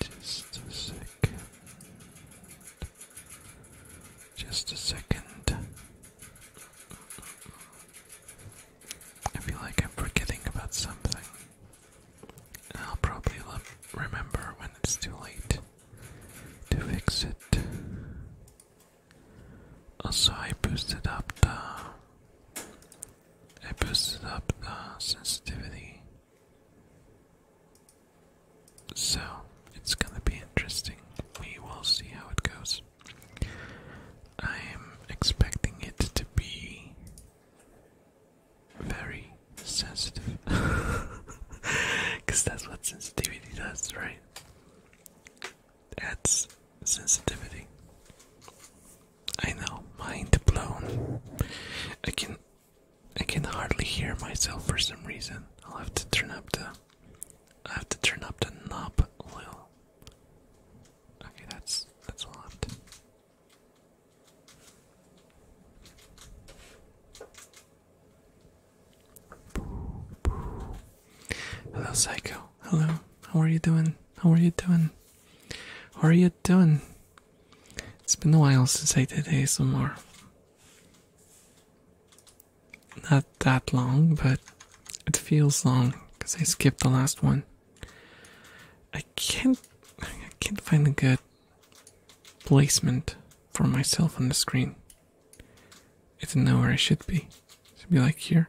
Just a second. Just a second. I feel like I'm forgetting about something. I'll probably remember when it's too late to fix it. Also, I boosted up the. I boosted up the sensitivity. So, it's gonna be interesting. We will see how it goes. I'm expecting it to be very sensitive. Because that's what sensitivity does, right? That's sensitivity. I know, mind blown. I can I can hardly hear myself for some reason. I'll have to turn up the I have to turn up the knob Okay, that's that's a lot. Hello, Psycho. Hello. How are you doing? How are you doing? How are you doing? It's been a while since I did ASMR not that long, but it feels long because I skipped the last one. I can't I can't find a good placement for myself on the screen. It's don't know I should be. I should be like here.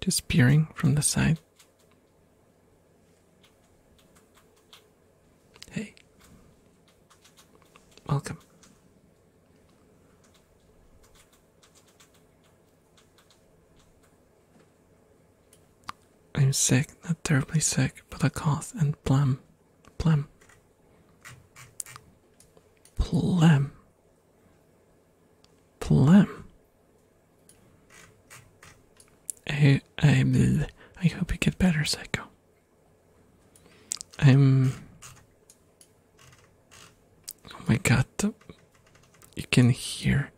Just peering from the side. Hey. Welcome. I'm sick, not terribly sick, but a cough and phlegm. Phlegm. Phlegm. Phlegm. I, I, I hope you get better, Psycho. I'm Oh my god, you can hear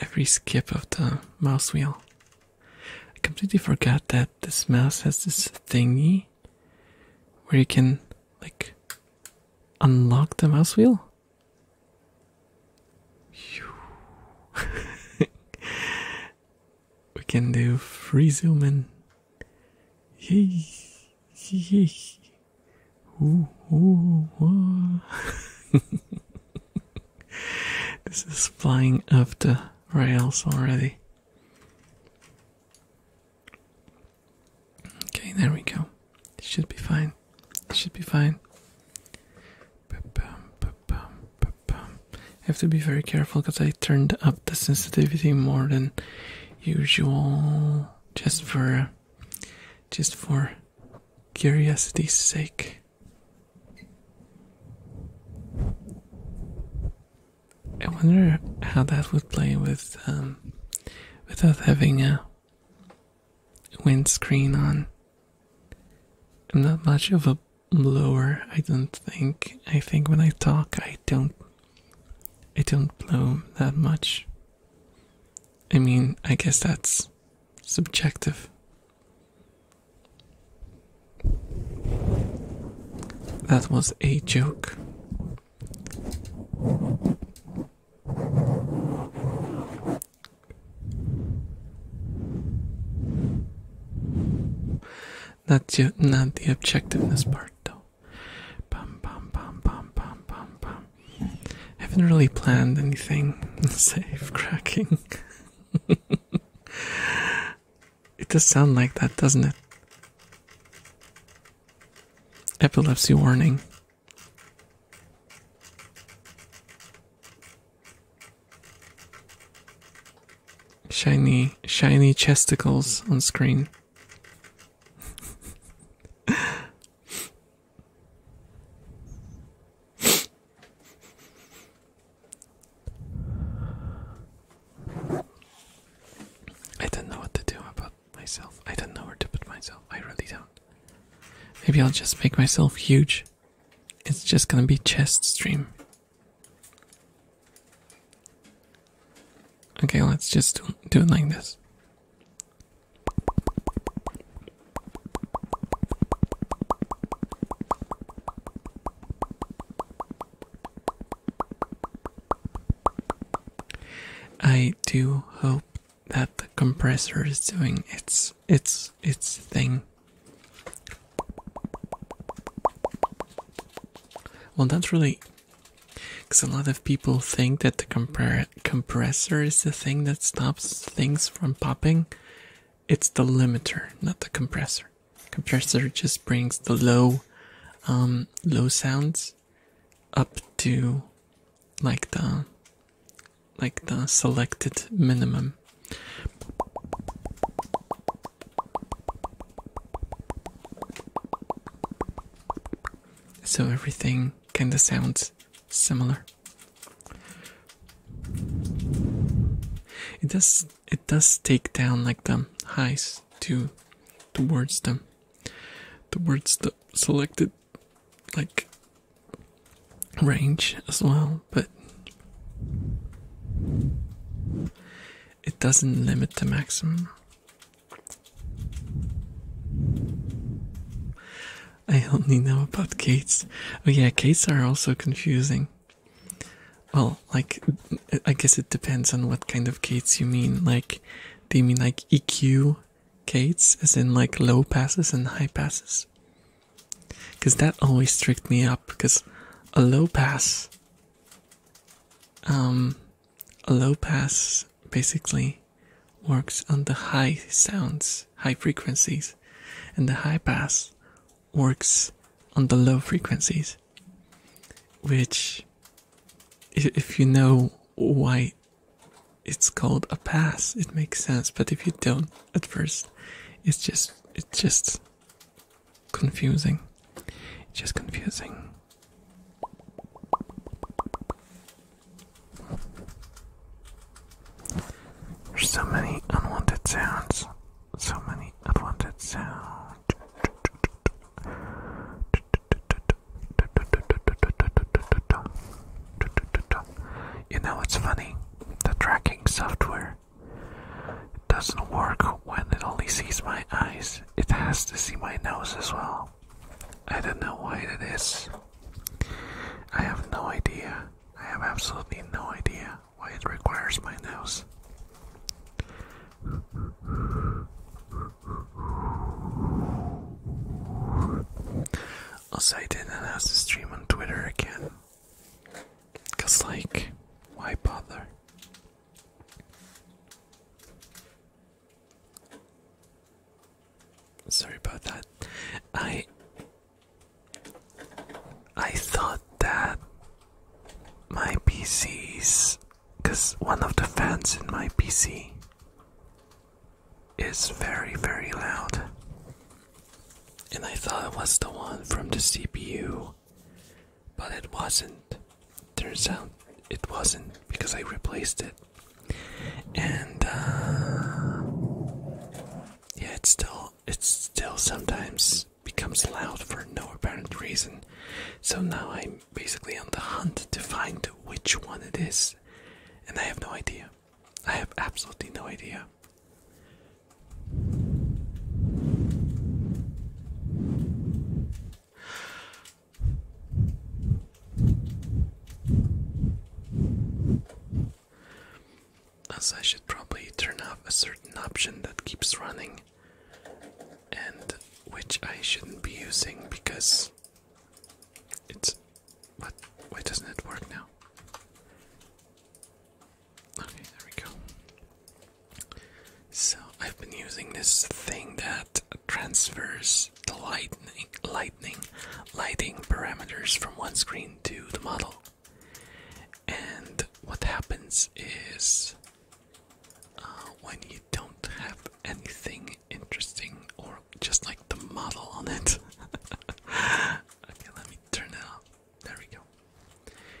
every skip of the mouse wheel. I completely forgot that this mouse has this thingy where you can, like, unlock the mouse wheel. we can do free zoom in. this is flying off the rails already. Okay, there we go. It should be fine. It should be fine. I have to be very careful because I turned up the sensitivity more than usual just for just for curiosity's sake I wonder how that would play with um, without having a windscreen on. I'm not much of a blower, I don't think. I think when I talk I don't it don't blow that much. I mean, I guess that's subjective. That was a joke. That's not the objectiveness part, though. Bum, bum, bum, bum, bum, bum, bum. Haven't really planned anything save cracking. it does sound like that, doesn't it? Epilepsy warning. Shiny, shiny chesticles on screen. I don't know what to do about myself. I don't know where to put myself. I really don't. Maybe I'll just make myself huge. It's just gonna be chest stream. Okay, let's just do, it like this. I do hope that the compressor is doing its its its thing. Well, that's really because a lot of people think that the compressor is the thing that stops things from popping. It's the limiter, not the compressor. Compressor just brings the low, um, low sounds up to like the like the selected minimum so everything kind of sounds similar. It does it does take down like the highs to towards them the words the selected like range as well but it doesn't limit the maximum I only know about gates. Oh yeah, gates are also confusing. Well, like, I guess it depends on what kind of gates you mean. Like, do you mean like EQ gates, as in like low passes and high passes? Because that always tricked me up, because a low pass um, a low pass basically works on the high sounds, high frequencies, and the high pass works on the low frequencies. Which, if you know why it's called a pass, it makes sense. But if you don't at first, it's just it's just confusing. just confusing. There's so many unwanted sounds. So many unwanted sounds. You know what's funny? The tracking software doesn't work when it only sees my eyes. It has to see my nose as well. I don't know why it is. I have no idea. I have absolutely no idea why it requires my nose. Also, I didn't announce to stream on Twitter again. Cause, like, why bother? Sorry about that. I I thought that my PC's cuz one of the fans in my PC is very very loud. And I thought it was the one from the CPU, but it wasn't turns out it wasn't because I replaced it. And uh, yeah, it still it still sometimes becomes loud for no apparent reason. So now I'm basically on the hunt to find which one it is, and I have no idea. I have absolutely no idea. I should probably turn off a certain option that keeps running and which I shouldn't be using because it's what why doesn't it work now? Okay, there we go. So I've been using this thing that transfers the lightning, lightning lighting parameters from one screen to the model. And what happens is uh, when you don't have anything interesting or just like the model on it. okay, let me turn it off. There we go.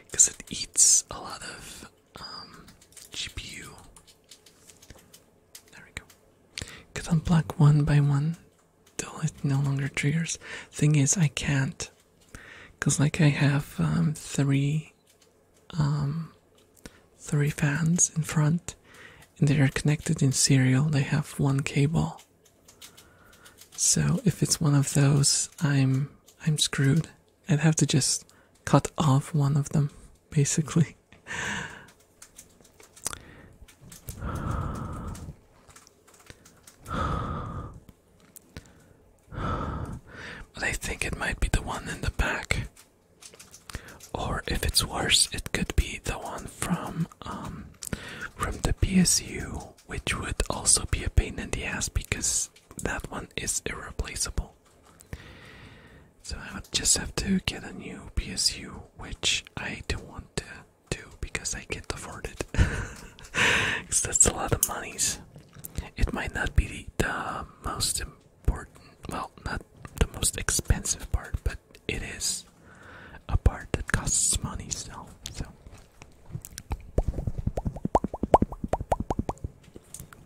Because it eats a lot of um, GPU there we go. Could unblock one by one till it no longer triggers. Thing is, I can't. Because, like, I have um, three, um, three fans in front, and they are connected in serial. They have one cable. So if it's one of those, I'm I'm screwed. I'd have to just cut off one of them basically. But I think it might be the one in the back. Or if it's worse, it could be the one from um from the PSU, which would also be a pain in the ass because that one is irreplaceable. So I would just have to get a new PSU, which I don't want to do because I can't afford it. Because that's a lot of monies. It might not be the, most important, well, not the most expensive part, but it is a part that costs money, so. so.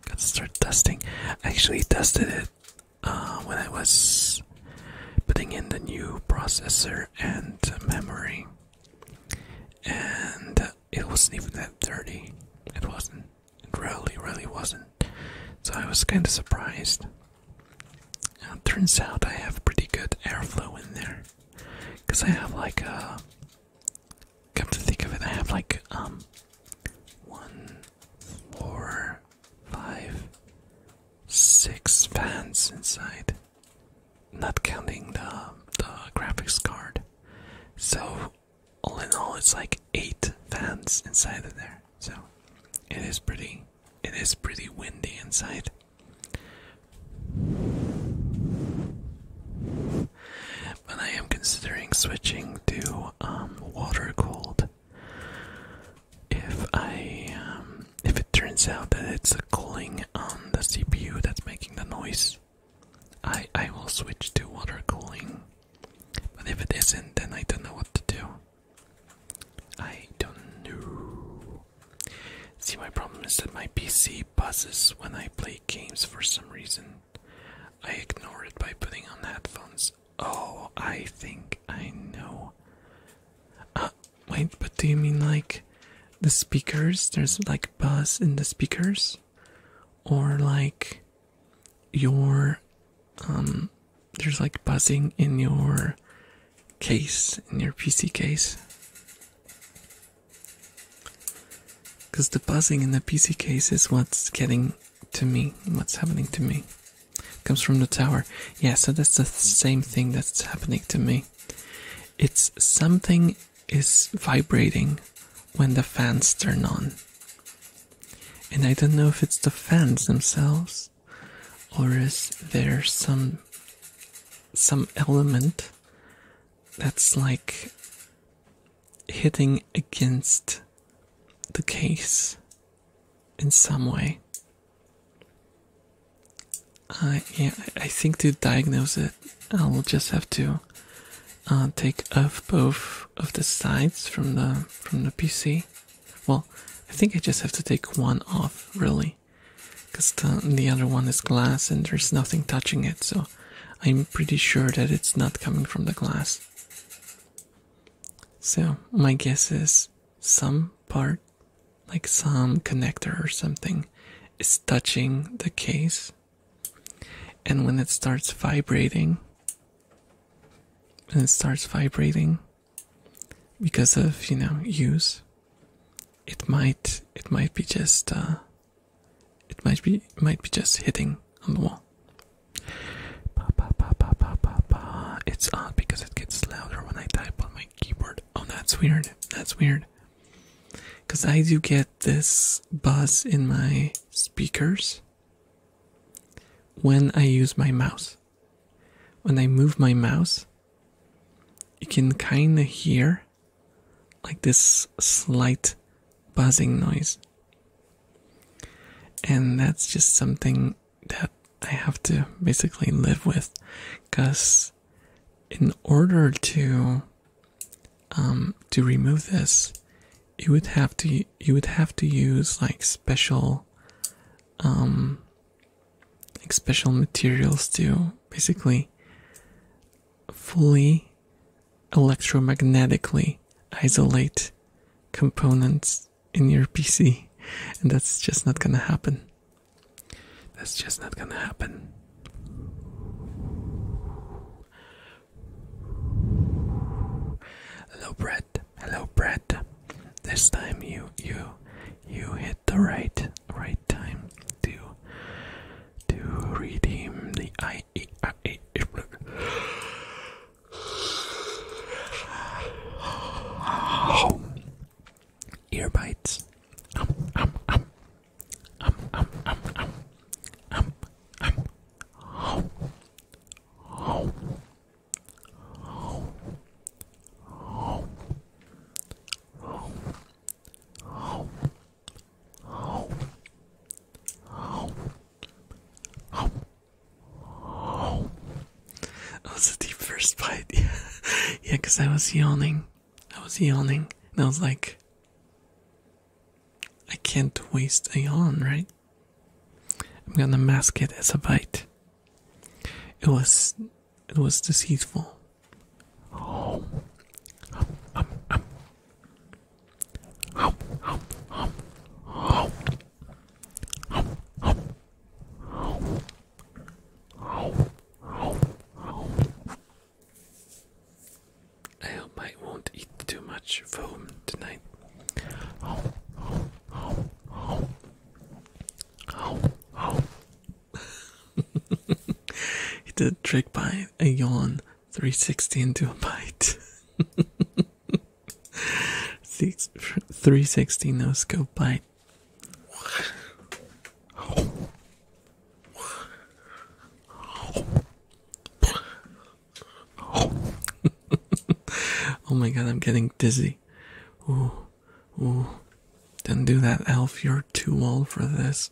Gotta start dusting. actually dusted it uh, when I was putting in the new processor and memory, and it wasn't even that dirty. It wasn't. It really, really wasn't. So I was kind of surprised. Uh, turns out I have pretty good airflow in there, cause I have like a. Uh, come to think of it, I have like um, one, four, five, six fans inside, not counting the the graphics card. So all in all, it's like eight fans inside of there. So it is pretty. It is pretty windy inside. But I am considering switching to um, water cooled if I um, if it turns out that it's a cooling on the CPU that's making the noise, I I will switch to water cooling. But if it isn't, then I don't know what to do. I don't know. See, my problem is that my PC buzzes when I play games for some reason. I ignore it by putting on headphones. Oh, I think I know. Uh, wait, but do you mean like the speakers? There's like buzz in the speakers? Or like your. Um, there's like buzzing in your case, in your PC case. Because the buzzing in the PC case is what's getting to me, what's happening to me comes from the tower. Yeah, so that's the same thing that's happening to me. It's something is vibrating when the fans turn on. And I don't know if it's the fans themselves or is there some some element that's like hitting against the case in some way. I yeah, I think to diagnose it, I'll just have to uh, take off both of the sides from the from the PC. Well, I think I just have to take one off really, because the other one is glass and there's nothing touching it, so I'm pretty sure that it's not coming from the glass. So, my guess is some part, like some connector or something, is touching the case, and when it starts vibrating, and it starts vibrating because of you know use, it might it might be just uh, it might be might be just hitting on the wall. Ba, ba, ba, ba, ba, ba, ba. It's odd because it gets louder when I type on my keyboard. Oh, that's weird. That's weird. Because I do get this buzz in my speakers when I use my mouse. When I move my mouse, you can kind of hear like this slight buzzing noise. And that's just something that I have to basically live with because in order to um to remove this you would have to you would have to use like special um like special materials to basically fully electromagnetically isolate components in your PC, and that's just not gonna happen. That's just not gonna happen. Hello, Brett. Hello, Brett. This time you you you hit the right right time to to redeem the I. Oh. Ear bites. Um, um, um. Um, um, um, um. Um, um. Oh. Oh. Oh. Oh. Oh. Oh. Oh. Oh. Oh that was the first bite. yeah, because I was yawning. I was yawning, and I was like, I can't waste a yawn, right? I'm gonna mask it as a bite. It was, it was deceitful. I hope I won't eat too much foam tonight. he did a trick by a yawn 360 into a bite. Six, 360 no scope bite. oh my god, I'm getting dizzy. Ooh, ooh. Don't do that, elf. You're too old for this.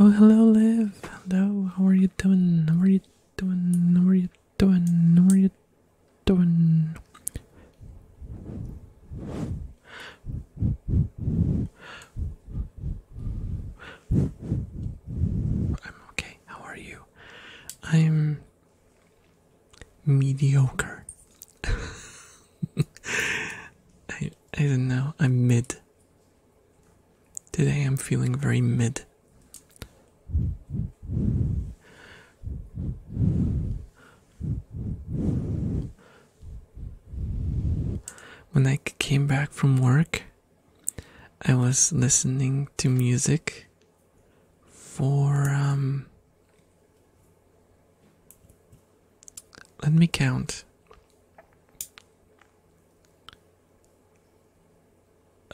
Oh, hello, Liv. Hello, how are you doing? How are you doing? What are you doing? What are you doing? I'm okay. How are you? I'm mediocre. I I don't know. I'm mid. Today I'm feeling very mid. When I came back from work, I was listening to music for, um, let me count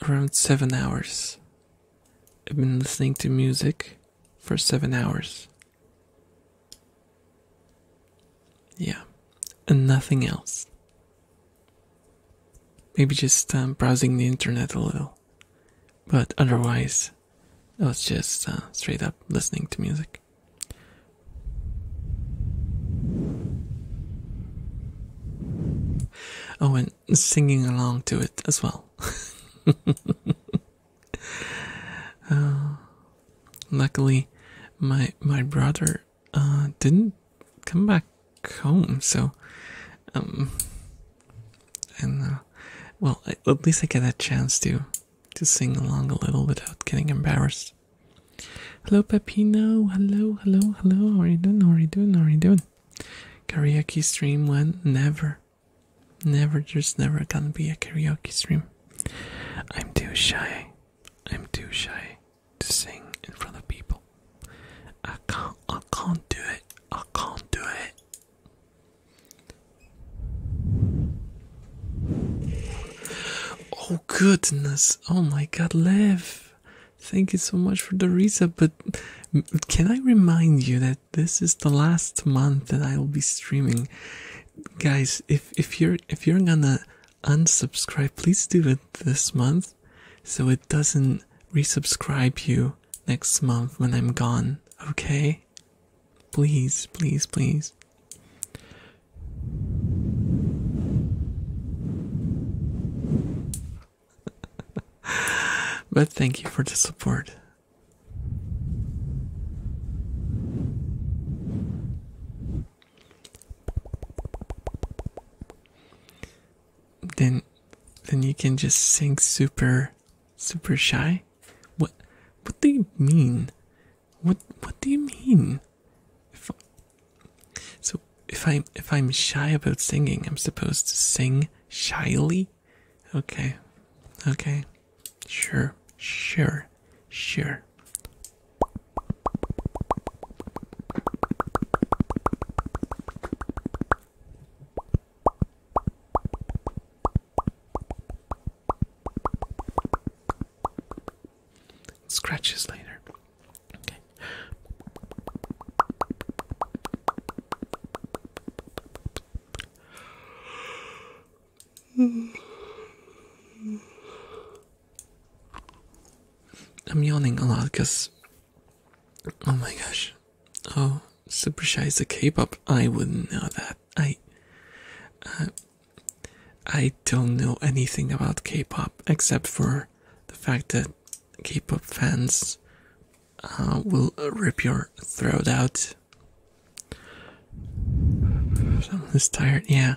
around seven hours. I've been listening to music for seven hours. Yeah, and nothing else. Maybe just um, browsing the internet a little. But otherwise, I was just uh, straight up listening to music myself. Oh, and singing along to it as well. Uh, luckily, my my brother uh, didn't come back home, so um, and uh, well, at least I get a chance to to sing along a little without getting embarrassed. Hello, Pepino. Hello, hello, hello. How are you doing? How are you doing? How are you doing? Karaoke stream one. Never. Never. There's never gonna be a karaoke stream. I'm too shy. I'm too shy to sing in front of people. I can't. I can't do it. I can't do it. Oh goodness! Oh my God, Lev. Thank you so much for the reset, but can I remind you that this is the last month that I will be streaming, guys? If if you're if you're gonna unsubscribe, please do it this month, so it doesn't resubscribe you next month when I'm gone. Okay, please, please, please. but thank you for the support. Then then you can just sing super super shy? What what do you mean? What what do you mean? So if I'm if I'm shy about singing, I'm supposed to sing shyly? Okay. Okay. Sure. Sure. Sure. Scratches later. I'm yawning a lot because, oh my gosh, oh, Super Shy is a K-pop. I wouldn't know that. I, uh, I don't know anything about K-pop except for the fact that K-pop fans uh, will rip your throat out. I'm just tired. Yeah,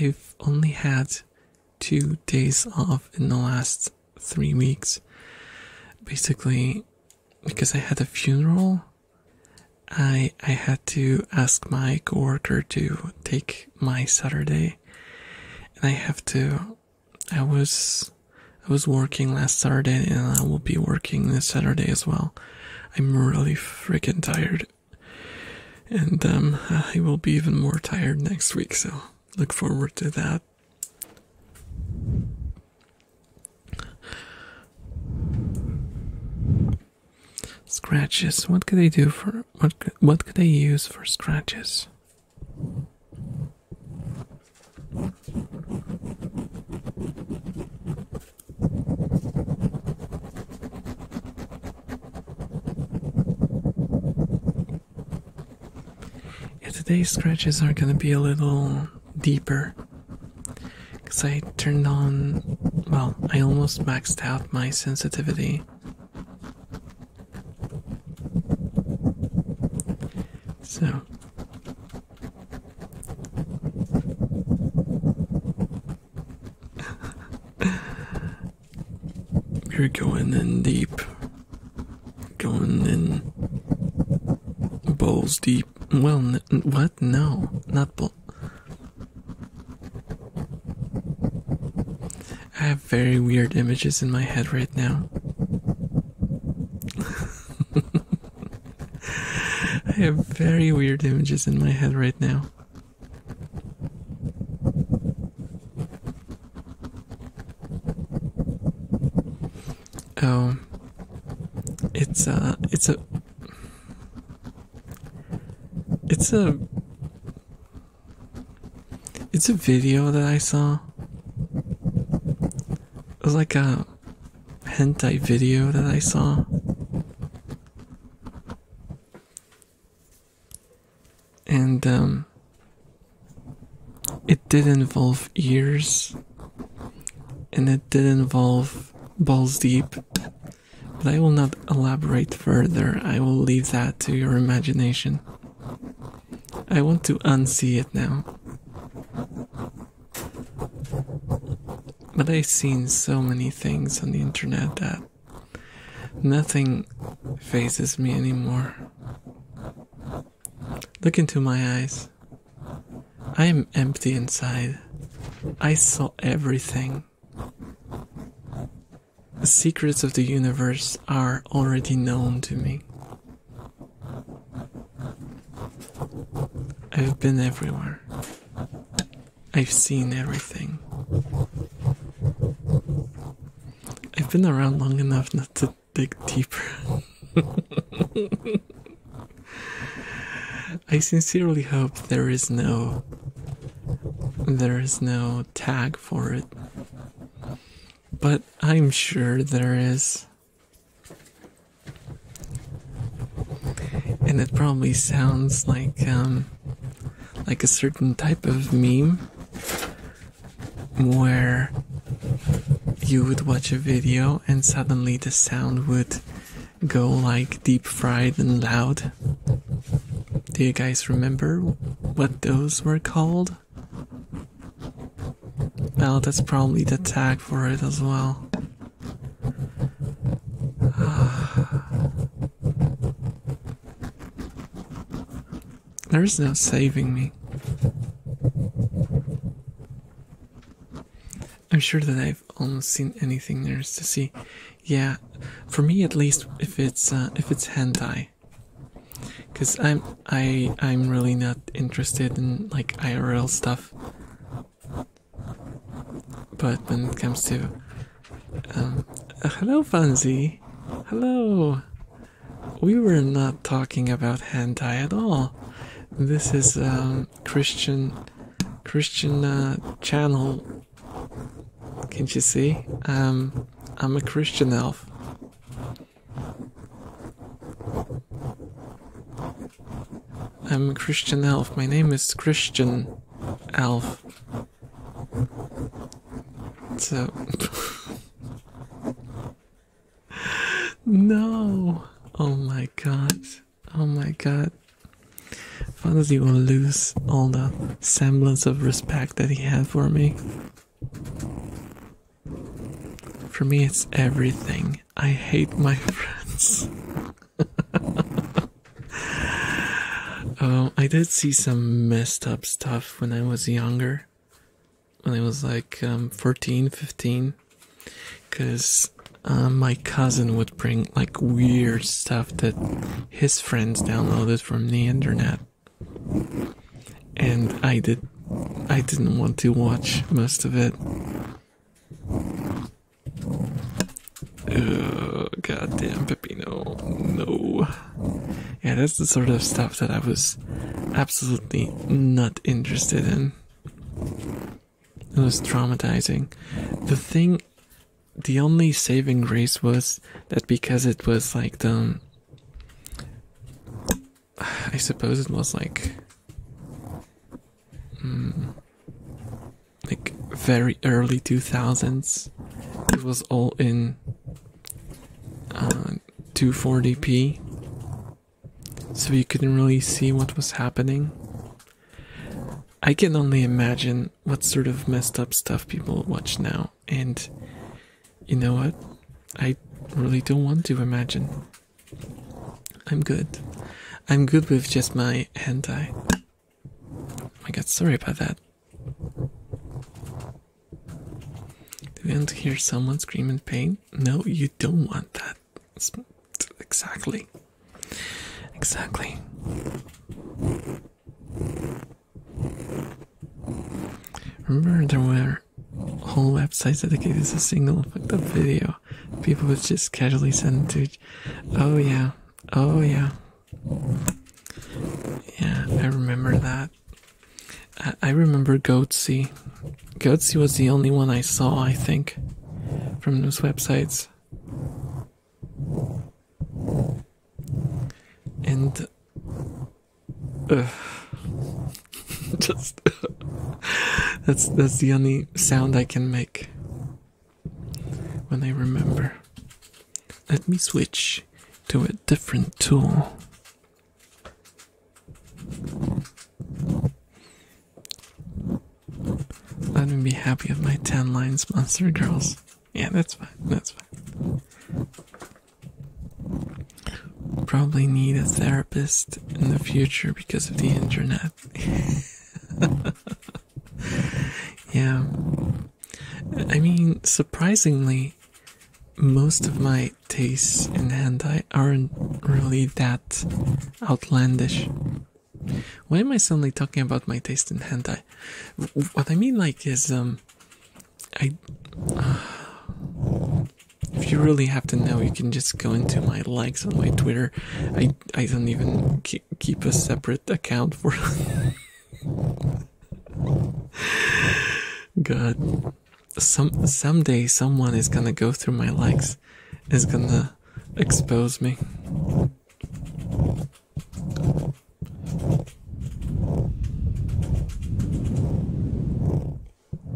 I've only had two days off in the last three weeks. Basically, because I had a funeral, I I had to ask my coworker to take my Saturday, and I have to I was I was working last Saturday and I will be working this Saturday as well. I'm really freaking tired. And um uh, I will be even more tired next week, so look forward to that. Scratches. What could I do for what? what could I use for scratches? today's scratches are gonna be a little deeper because I turned on, well, I almost maxed out my sensitivity. So you are going in deep, going in bowls deep. Well, what? No, not balls. I have very weird images in my head right now. I have very weird images in my head right now. Oh, it's a, it's a, it's a, it's a video that I saw. It was like a hentai video that I saw. And um it did involve ears and it did involve balls deep. But I will not elaborate further. I will leave that to your imagination. I want to unsee it now. But I've seen so many things on the internet that nothing phases me anymore. Look into my eyes. I am empty inside. I saw everything. The secrets of the universe are already known to me. I've been everywhere. I've seen everything. I've been around long enough not to dig deeper. I sincerely hope there is no there is no tag for it but I'm sure there is. And it probably sounds like um like a certain type of meme where you would watch a video and suddenly the sound would go like deep fried and loud. Do you guys remember what those were called? Well, that's probably the tag for it as well. there is no saving me. I'm sure that I've almost seen anything there is to see. Yeah, for me at least, if it's uh, if it's hentai, because i'm i i'm really not interested in like irl stuff but when it comes to um, hello Funzi hello we were not talking about hand tie at all this is um christian christian uh, channel can't you see um i'm a christian elf I'm Christian Elf. My name is Christian Elf. So. no! Oh my god. Oh my god. he will lose all the semblance of respect that he had for me. For me, it's everything. I hate my friends. um, I did see some messed up stuff when I was younger. When I was like um, 14, 15. Because um, my cousin would bring like weird stuff that his friends downloaded from the internet and I did I didn't want to watch most of it. Oh, goddamn Peppino. No. Yeah, that's the sort of stuff that I was absolutely not interested in. It was traumatizing. The thing, the only saving grace was that because it was like the um, I suppose it was like, hmm, like very early two thousands. It was all in uh, two hundred and forty p, so you couldn't really see what was happening. I can only imagine what sort of messed up stuff people watch now, and you know what? I really don't want to imagine. I'm good. I'm good with just my hand eye. I got sorry about that. Do you want to hear someone scream in pain? No, you don't want that. Exactly. Exactly. Remember there were whole websites dedicated to single fucked up video. People would just casually send to Oh yeah. Oh yeah. Yeah, I remember that. I remember Goatsy. Goatsy was the only one I saw, I think, from those websites. And Just that's that's the only sound I can make when I remember. Let me switch to a different tool. Let me be happy with my 10 lines, monster girls. Yeah, that's fine, that's fine. Probably need a therapist in the future because of the internet. yeah. I mean, surprisingly, most of my tastes in hentai aren't really that outlandish. Why am I suddenly talking about my taste in hentai? What I mean, like, is um, I. if you really have to know, you can just go into my likes on my Twitter. I I don't even keep, keep a separate account for. God, some someday someone is gonna go through my likes, is gonna expose me.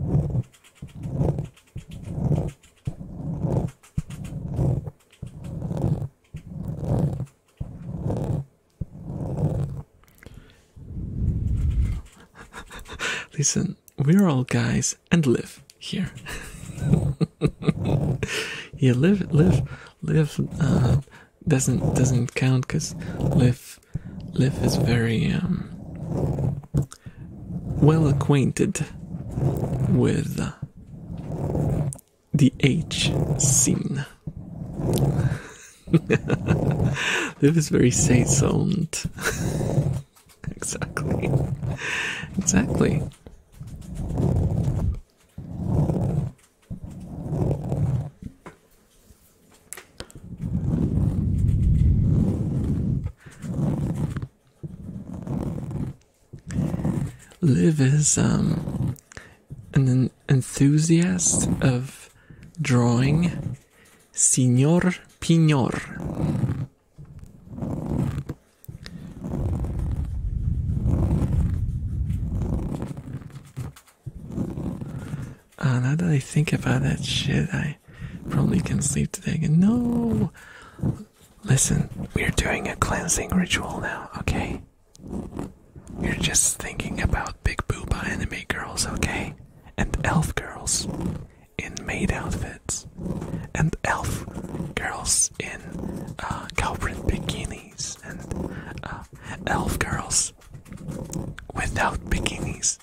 Listen, we're all guys and live here. yeah, live, live, live uh, doesn't doesn't count because live Lif is very um, well acquainted with the H scene. Lif is very saisoned. exactly. Exactly. Liv is um, an enthusiast of drawing Signor Pignor. Uh, now that I think about that shit, I probably can sleep today again. No! Listen, we're doing a cleansing ritual now, okay? You're just thinking about big booba anime girls, okay? And elf girls in maid outfits. And elf girls in uh, cow print bikinis. And uh, elf girls without bikinis is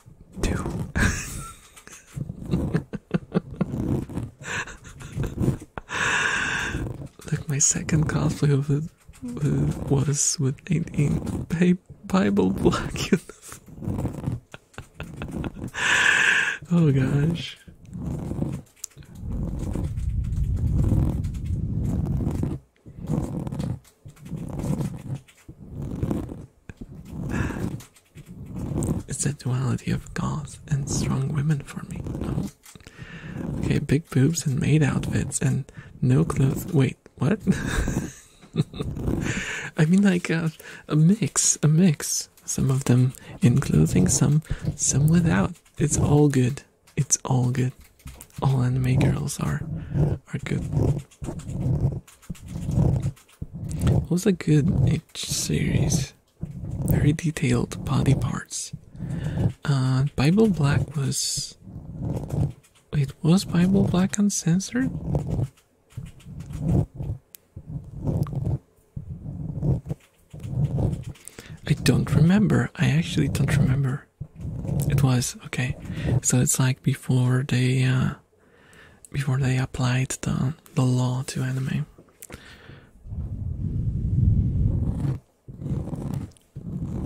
Look, my second cosplay of it was with an in Bible black oh gosh. It's the duality of goth and strong women for me. Okay, big boobs and maid outfits and no clothes. Wait, what? I mean, like a, uh, a mix, a mix. Some of them in clothing, some some without. It's all good. It's all good. All anime girls are are good. What was a good H series? Very detailed body parts. Uh, Bible Black was. It was Bible Black uncensored? I don't remember. I actually don't remember. It was okay. So it's like before they uh, before they applied the, the law to anime.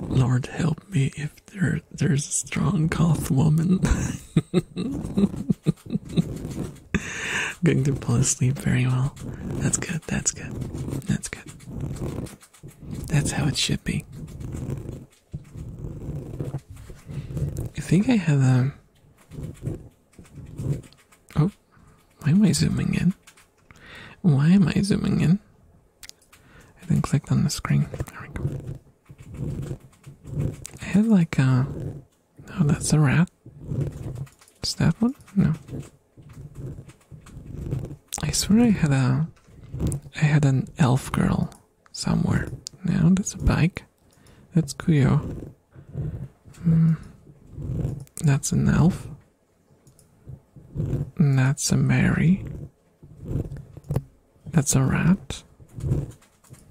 Lord help me if there there's a strong goth woman. Going to fall asleep very well. That's good, that's good, that's good. That's how it should be. I think I have a. Oh, why am I zooming in? Why am I zooming in? I then clicked on the screen. There we go. I had like a. Oh, that's a rat. Is that one? No. I swear I had a. I had an elf girl somewhere. No, that's a bike. That's Kyo. Hmm. That's an elf. That's a Mary. That's a rat.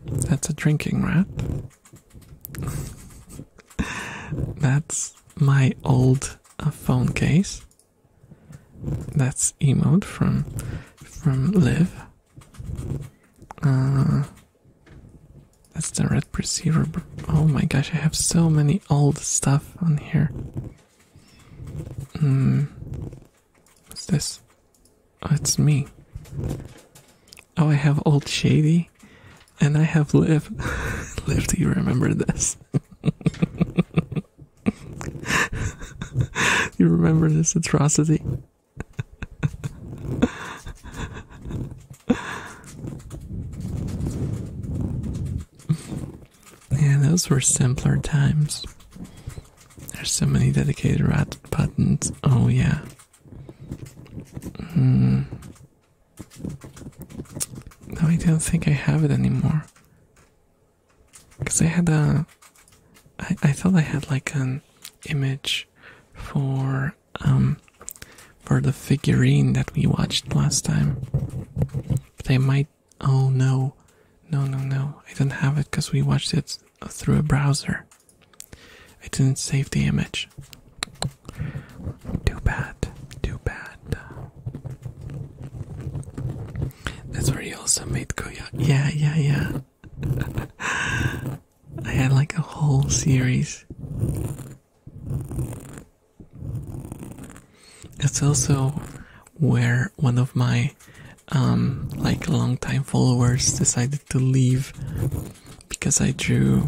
That's a drinking rat. That's my old uh, phone case. That's emote from from Live. Uh, that's the red receiver. Oh my gosh, I have so many old stuff on here. Mm. What's this? Oh, it's me. Oh, I have Old Shady, and I have Liv. Liv, do you remember this? you remember this atrocity? yeah, those were simpler times. There's so many dedicated rat buttons. Oh, yeah. Mm. No, I don't think I have it anymore. Because I had a I, thought I had like an image for um for the figurine that we watched last time. But I might oh no. No no no. I didn't have it because we watched it through a browser. I didn't save the image. Too bad. Too bad. That's where he also made Koya. Yeah, yeah, yeah. I had like a whole series. It's also where one of my um like longtime followers decided to leave because I drew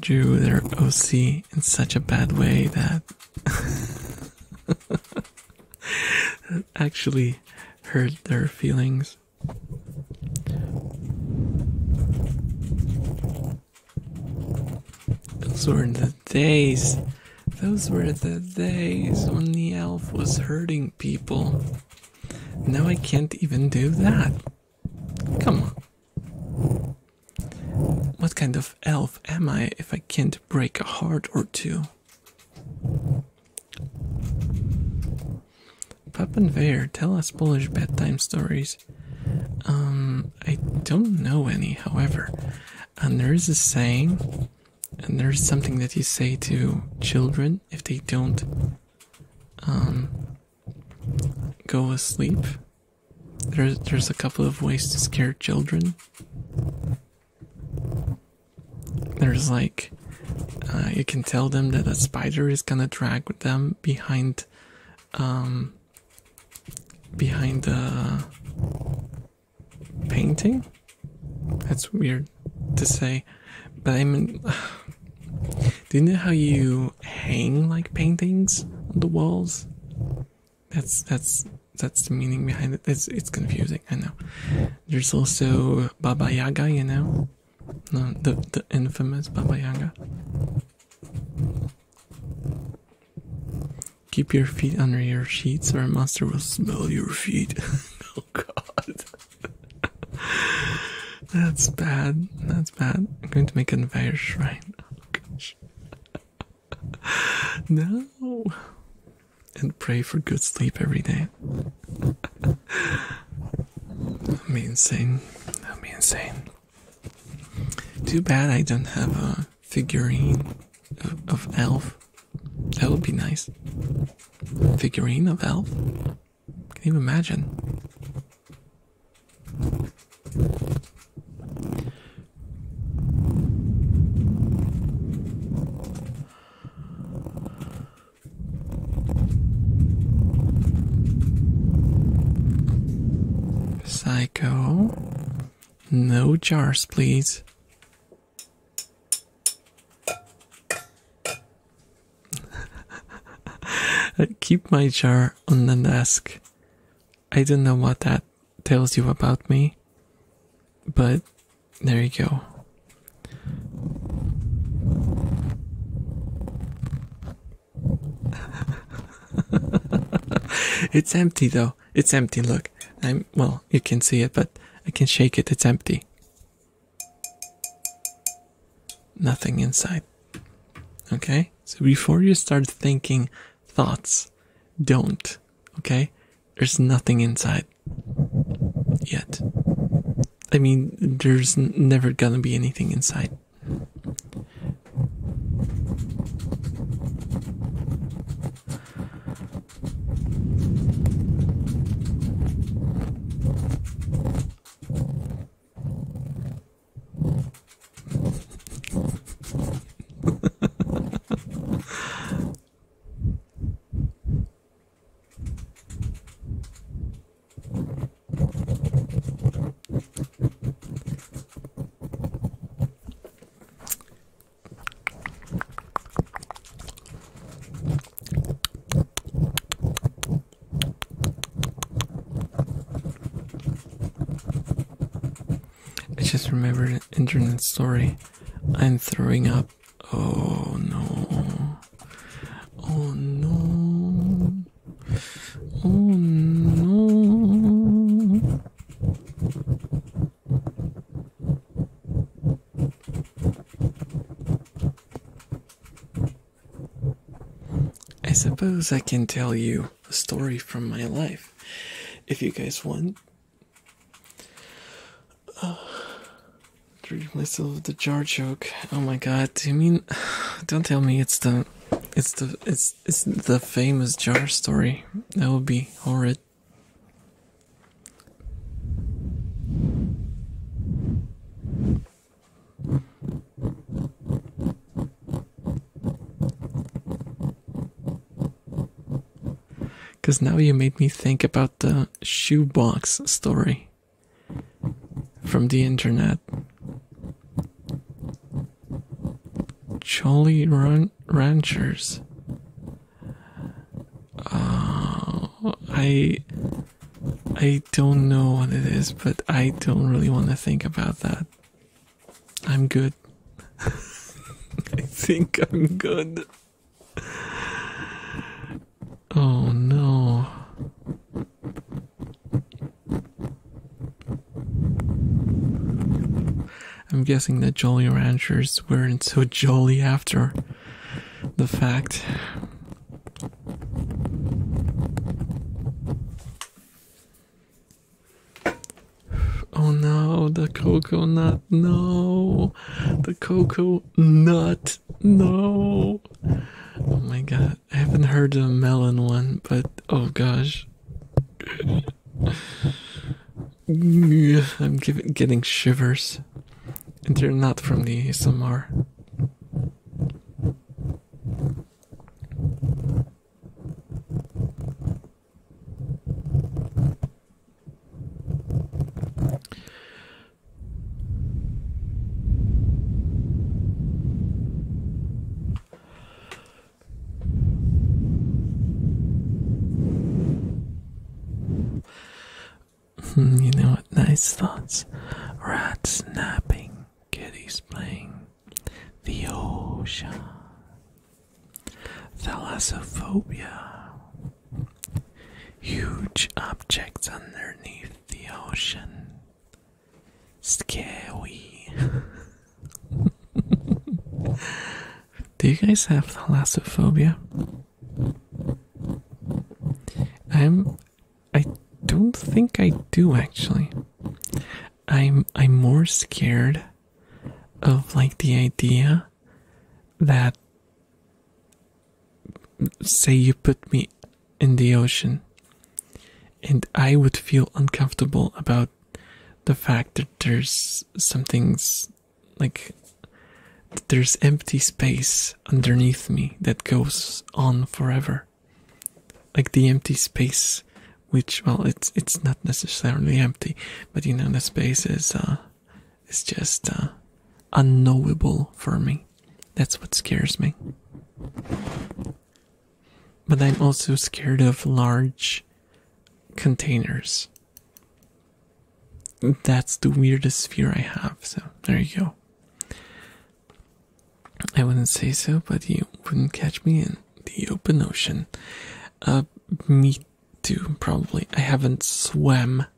drew their OC in such a bad way that actually hurt their feelings. Those were the days. Those were the days when the elf was hurting people. Now I can't even do that. Come on. What kind of elf am I if I can't break a heart or two? and Pappenwehr, tell us Polish bedtime stories. Um, I don't know any, however. And there is a saying, and there is something that you say to children if they don't um, go asleep. There's, there's a couple of ways to scare children. There's like, uh, you can tell them that a spider is gonna drag them behind, um, behind the painting. That's weird to say, but I mean, do you know how you hang like paintings on the walls? That's that's that's the meaning behind it. It's it's confusing. I know. There's also Baba Yaga, you know. No, the the infamous Baba Yaga. Keep your feet under your sheets, or a monster will smell your feet. oh God, that's bad. That's bad. I'm going to make an entire shrine. Oh gosh. no. And pray for good sleep every day i would insane. That'd be insane. Too bad I don't have a figurine of, of elf. That would be nice. Figurine of elf? Can you imagine? Psycho. No jars, please. keep my jar on the desk. I don't know what that tells you about me, but there you go. it's empty though. It's empty. Look, I'm well, you can see it, but I can shake it. It's empty. Nothing inside. Okay? So before you start thinking thoughts, don't. Okay? There's nothing inside yet. I mean, there's never gonna be anything inside. I just remembered an internet story. I'm throwing up. Oh no. Oh no. Oh no. I suppose I can tell you a story from my life if you guys want. Treat myself the jar joke. Oh my god, do you mean don't tell me it's the it's the it's it's the famous jar story. That would be horrid. Cause now you made me think about the shoebox story from the internet. Jolly Ranchers. Uh, I I don't know what it is, but I don't really want to think about that. I'm good. I think I'm good. Oh no. I'm guessing the Jolly Ranchers weren't so jolly after the fact. Oh no, the cocoa nut, no, the cocoa nut. No. Oh my god. I haven't heard the melon one, but oh gosh. I'm getting shivers. And they're not from the ASMR. Hmm, you know what? Nice thoughts. Rats snapping, kitties playing, the ocean, thalassophobia, huge objects underneath the ocean. Scary. Do you guys have thalassophobia? I'm. I don't think I do actually. I'm. I'm more scared of like the idea that say you put me in the ocean and I would feel uncomfortable about the fact that there's something's like there's empty space underneath me that goes on forever like the empty space which well it's it's not necessarily empty but you know the space is uh it's just uh, unknowable for me that's what scares me. But I'm also scared of large containers. That's the weirdest fear I have, so there you go. I wouldn't say so, but you wouldn't catch me in the open ocean. Uh, me too, probably. I haven't swam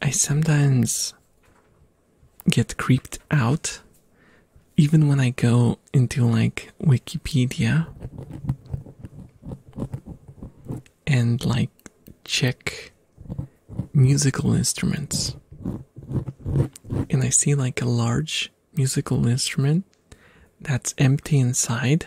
I sometimes get creeped out even when I go into like Wikipedia and like check musical instruments and I see like a large musical instrument that's empty inside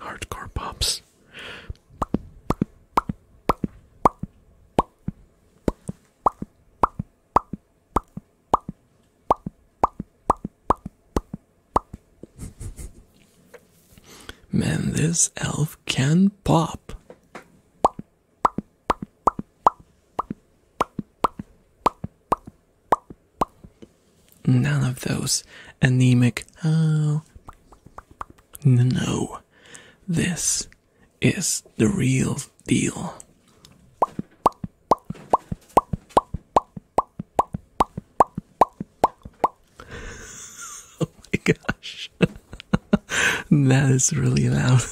Hardcore pops. Man, this elf can pop. None of those anemic. Oh. No, this is the real deal. oh my gosh. that is really loud.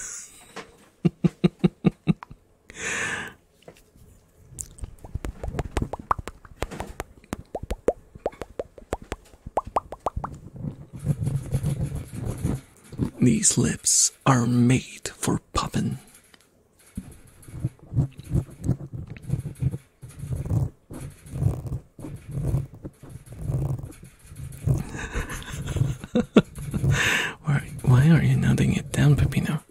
These lips are made for popping. why, why are you nodding it down, Pepino?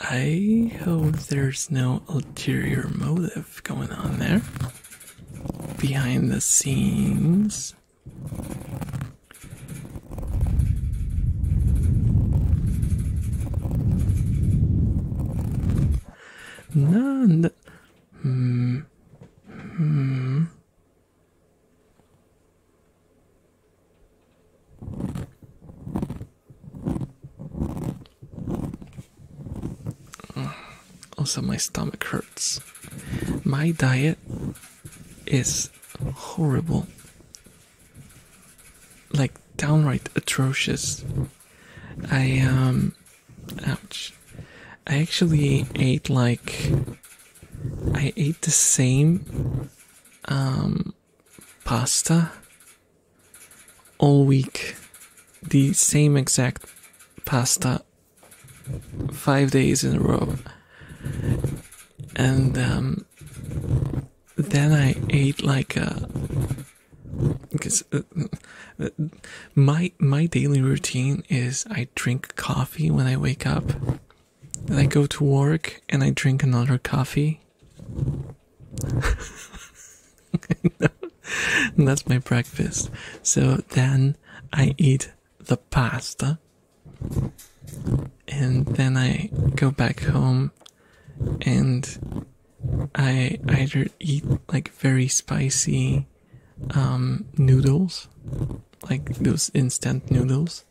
I hope there's no ulterior motive going on there behind the scenes. None. Hmm. Hmm. Also, my stomach hurts. My diet is horrible. Like downright atrocious. I um ouch. I actually ate like I ate the same um pasta all week. The same exact pasta five days in a row. And um, then I eat like a. Because uh, my my daily routine is I drink coffee when I wake up, then I go to work and I drink another coffee. and that's my breakfast. So then I eat the pasta. And then I go back home and I either eat like very spicy um, noodles, like those instant noodles,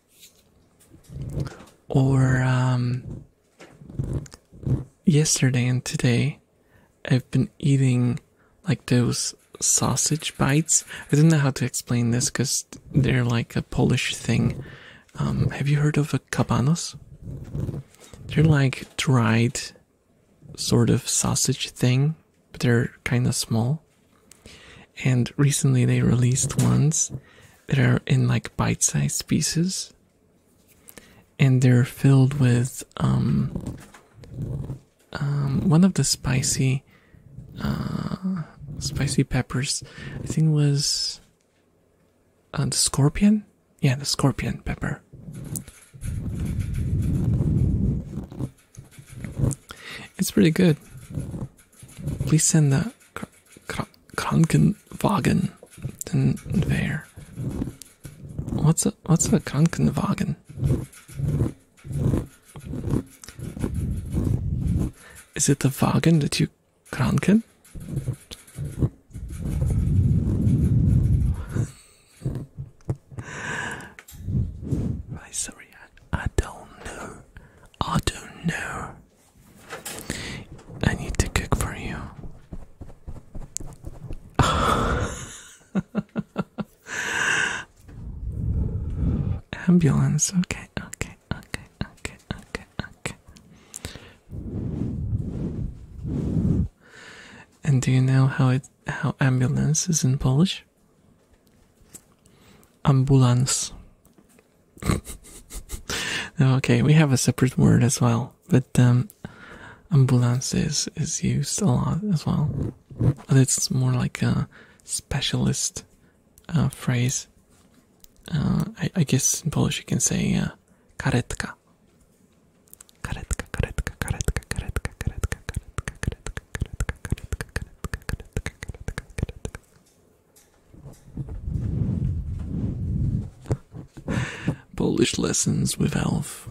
or um, yesterday and today I've been eating like those sausage bites. I don't know how to explain this because they're like a Polish thing. Um, have you heard of a kabanos? They're like dried sort of sausage thing, but they're kind of small. And recently they released ones that are in like bite sized pieces. And they're filled with um, um, one of the spicy uh, spicy peppers. I think was uh, the scorpion. Yeah, the scorpion pepper. It's pretty good. Please send the Krankenwagen there. What's a what's a Krankenwagen? Is it the wagon that you kranken? right, sorry, I, I don't know. I don't know. I need to cook for you. Ambulance. Okay, okay, okay, okay, okay, okay. And do you know how it how ambulance in Polish? Ambulance. okay, we have a separate word as well, but um, ambulance is used a lot as well. It's more like a specialist phrase. I, guess in Polish you can say uh, karetka. Karetka, karetka, karetka, karetka, karetka, karetka, karetka, karetka, karetka, karetka, karetka, karetka, karetka. Polish lessons with Alf.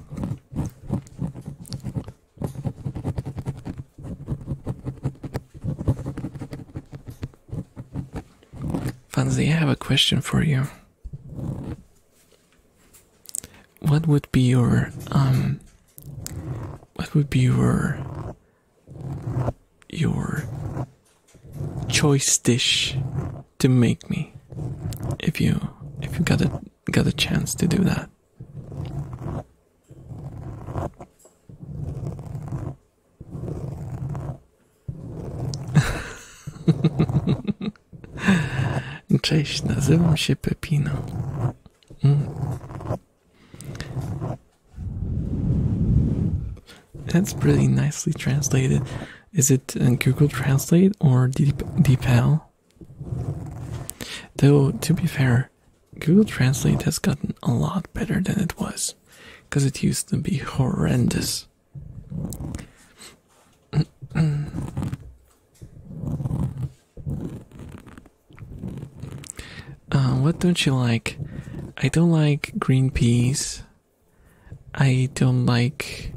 Fanzi, I have a question for you. What would be your um what would be your your choice dish to make me if you if you got a got a chance to do that? Mm. That's pretty nicely translated. Is it uh, Google Translate or DeepL? Though, to be fair, Google Translate has gotten a lot better than it was because it used to be horrendous. Uh, what don't you like? I don't like green peas. I don't like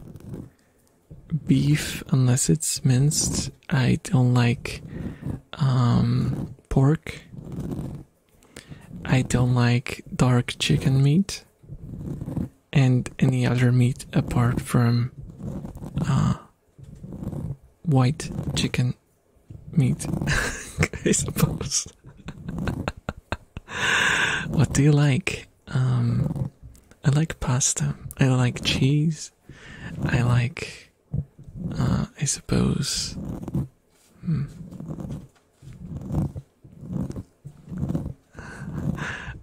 beef unless it's minced. I don't like um, pork. I don't like dark chicken meat and any other meat apart from uh, white chicken meat, I suppose. what do you like? Um, I like pasta. I like cheese. I like uh, I suppose. Hmm.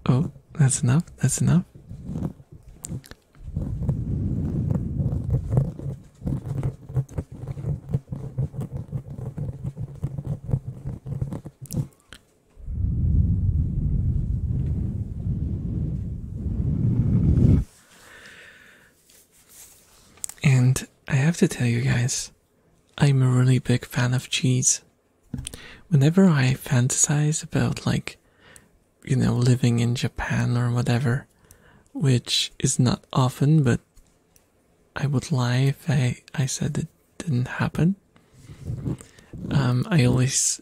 Oh, that's enough. That's enough. And I have to tell you guys, I'm a really big fan of cheese. Whenever I fantasize about, like, you know, living in Japan or whatever, which is not often, but I would lie if I, I said it didn't happen. Um, I always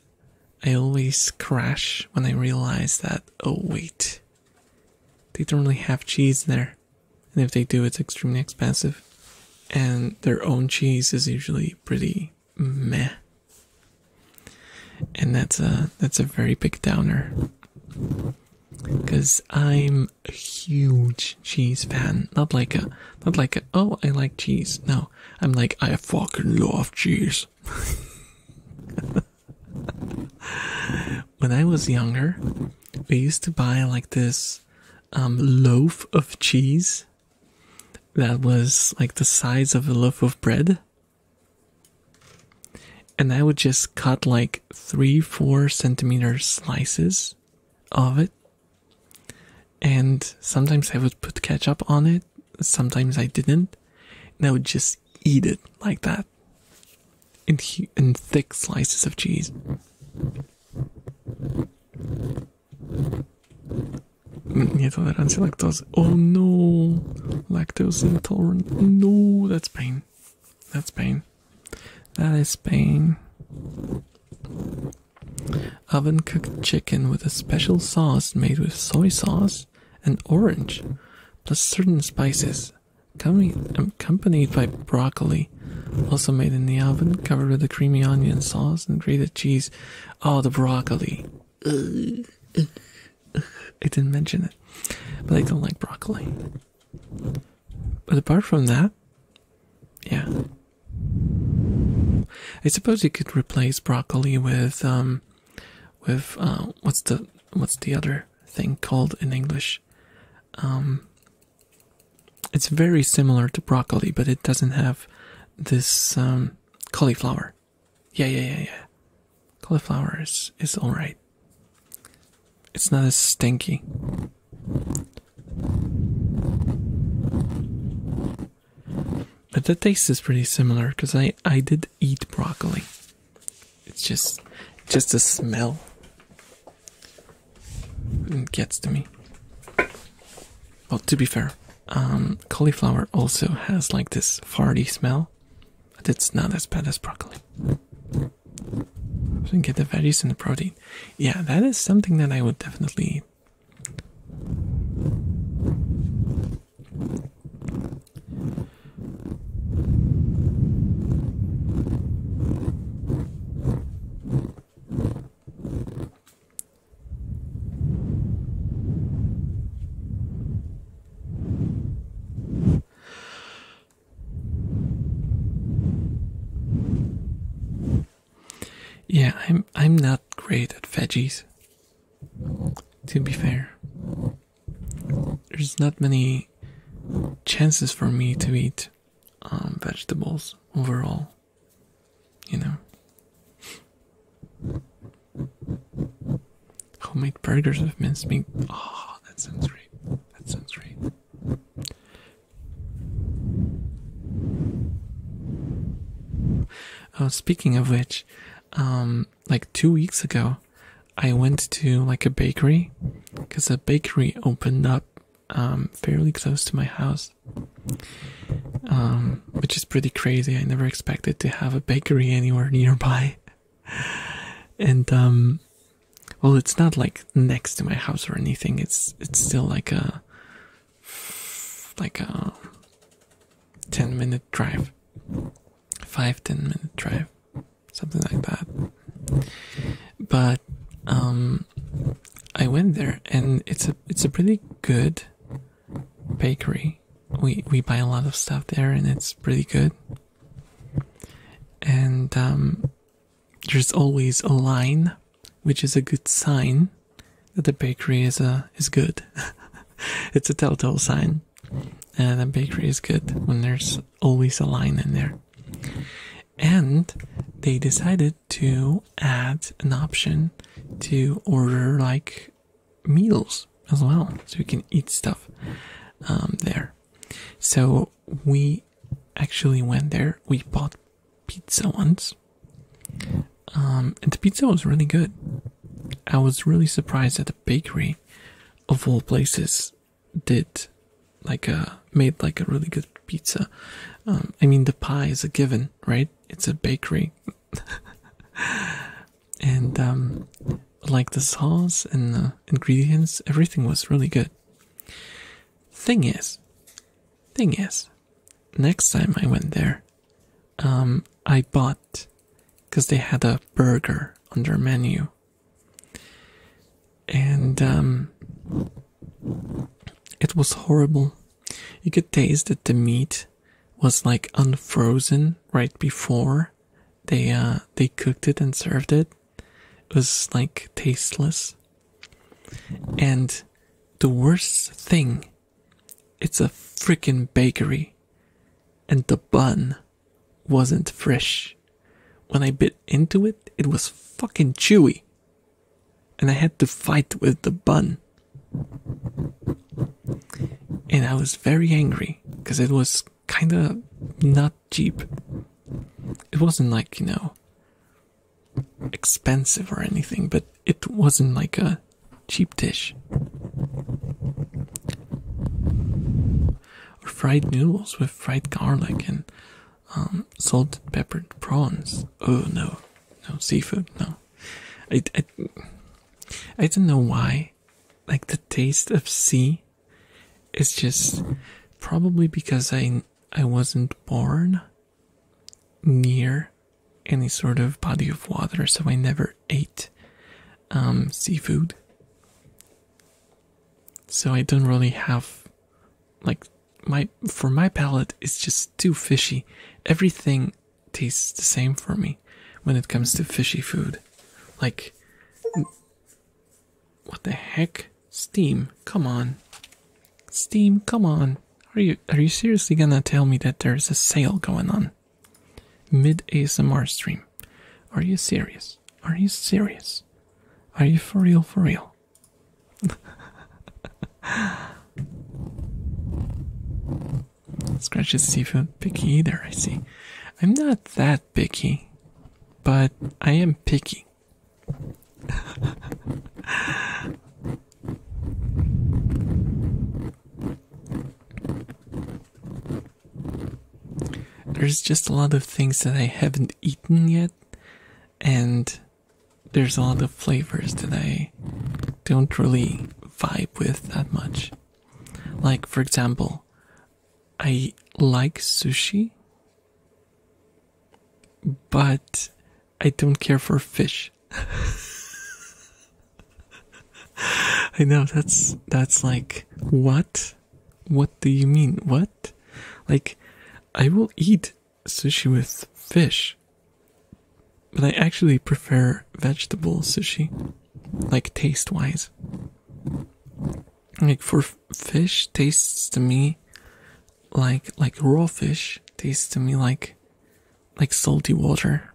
I always crash when I realize that, oh wait, they don't really have cheese there. And if they do, it's extremely expensive. And their own cheese is usually pretty meh. And that's a that's a very big downer. Cause I'm a huge cheese fan. Not like a not like a oh I like cheese. No. I'm like I fucking love cheese. when I was younger, we used to buy like this um, loaf of cheese that was like the size of a loaf of bread. And I would just cut like three, four centimeter slices of it. And sometimes I would put ketchup on it sometimes I didn't, and I would just eat it like that in, thick slices of cheese. Mm, Nietolerancia lactose. Oh no! Lactose intolerant. No, that's pain. That's pain. That is pain. Oven cooked chicken with a special sauce made with soy sauce, an orange, plus certain spices, um, accompanied by broccoli, also made in the oven, covered with a creamy onion sauce and grated cheese. Oh, the broccoli. I didn't mention it, but I don't like broccoli. But apart from that, yeah. I suppose you could replace broccoli with um, with uh, what's the what's the other thing called in English? Um, it's very similar to broccoli, but it doesn't have this um, cauliflower. Yeah, yeah, yeah, yeah. Cauliflower is is all right. It's not as stinky. But the taste is pretty similar because I I did eat broccoli. It's just just the smell. It gets to me. Well, to be fair, um, cauliflower also has like this farty smell, but it's not as bad as broccoli. So you get the veggies and the protein. Yeah, that is something that I would definitely eat. Yeah, I'm I'm not great at veggies. To be fair there's not many chances for me to eat um, vegetables overall, you know. Homemade burgers with minced meat. Oh, that sounds great. That sounds great. Oh, speaking of which, um, like two weeks ago, I went to like a bakery because a bakery opened up um, fairly close to my house, um, which is pretty crazy. I never expected to have a bakery anywhere nearby. and um, well, it's not like next to my house or anything. It's it's still like a like a ten minute drive, five ten minute drive something like that. But um, I went there, and it's a it's a pretty good bakery. We we buy a lot of stuff there, and it's pretty good. And um, there's always a line, which is a good sign that the bakery is a uh, is good. it's a telltale sign. And uh, the bakery is good when there's always a line in there. And they decided to add an option to order like meals as well, so you can eat stuff um, there. So we actually went there. We bought pizza once, um, and the pizza was really good. I was really surprised that the bakery, of all places, did like a uh, made like a really good pizza. Um, I mean, the pie is a given, right? It's a bakery, and um, like the sauce and the ingredients, everything was really good. Thing is, thing is, next time I went there, um, I bought because they had a burger on their menu and um, it was horrible. You could taste that the meat was like unfrozen right before they uh, they cooked it and served it. It was like tasteless. And the worst thing, it's a freaking bakery, and the bun wasn't fresh. When I bit into it, it was fucking chewy. And I had to fight with the bun. And I was very angry because it was kinda not cheap. It wasn't like, you know, expensive or anything, but it wasn't like a cheap dish or fried noodles with fried garlic and um, salted peppered prawns. Oh no, no seafood. No, I, I, don't know why. Like the taste of sea, is just probably because I I wasn't born near any sort of body of water, so I never ate um, seafood. So I don't really have like my for my palate it's just too fishy. Everything tastes the same for me when it comes to fishy food. Like what the heck? Steam, come on. Steam, come on. Are you are you seriously gonna tell me that there's a sale going on? Mid ASMR stream. Are you serious? Are you serious? Are you for real, for real? Scratch is seafood picky either, I see. I'm not that picky, but I am picky. There's just a lot of things that I haven't eaten yet, and there's a lot of flavors that I don't really vibe with that much. Like, for example, I like sushi, but I don't care for fish. I know that's that's like what what do you mean? What? Like, I will eat sushi with fish, but I actually prefer vegetable sushi, like taste wise. Like for fish tastes to me like like raw fish tastes to me like like salty water.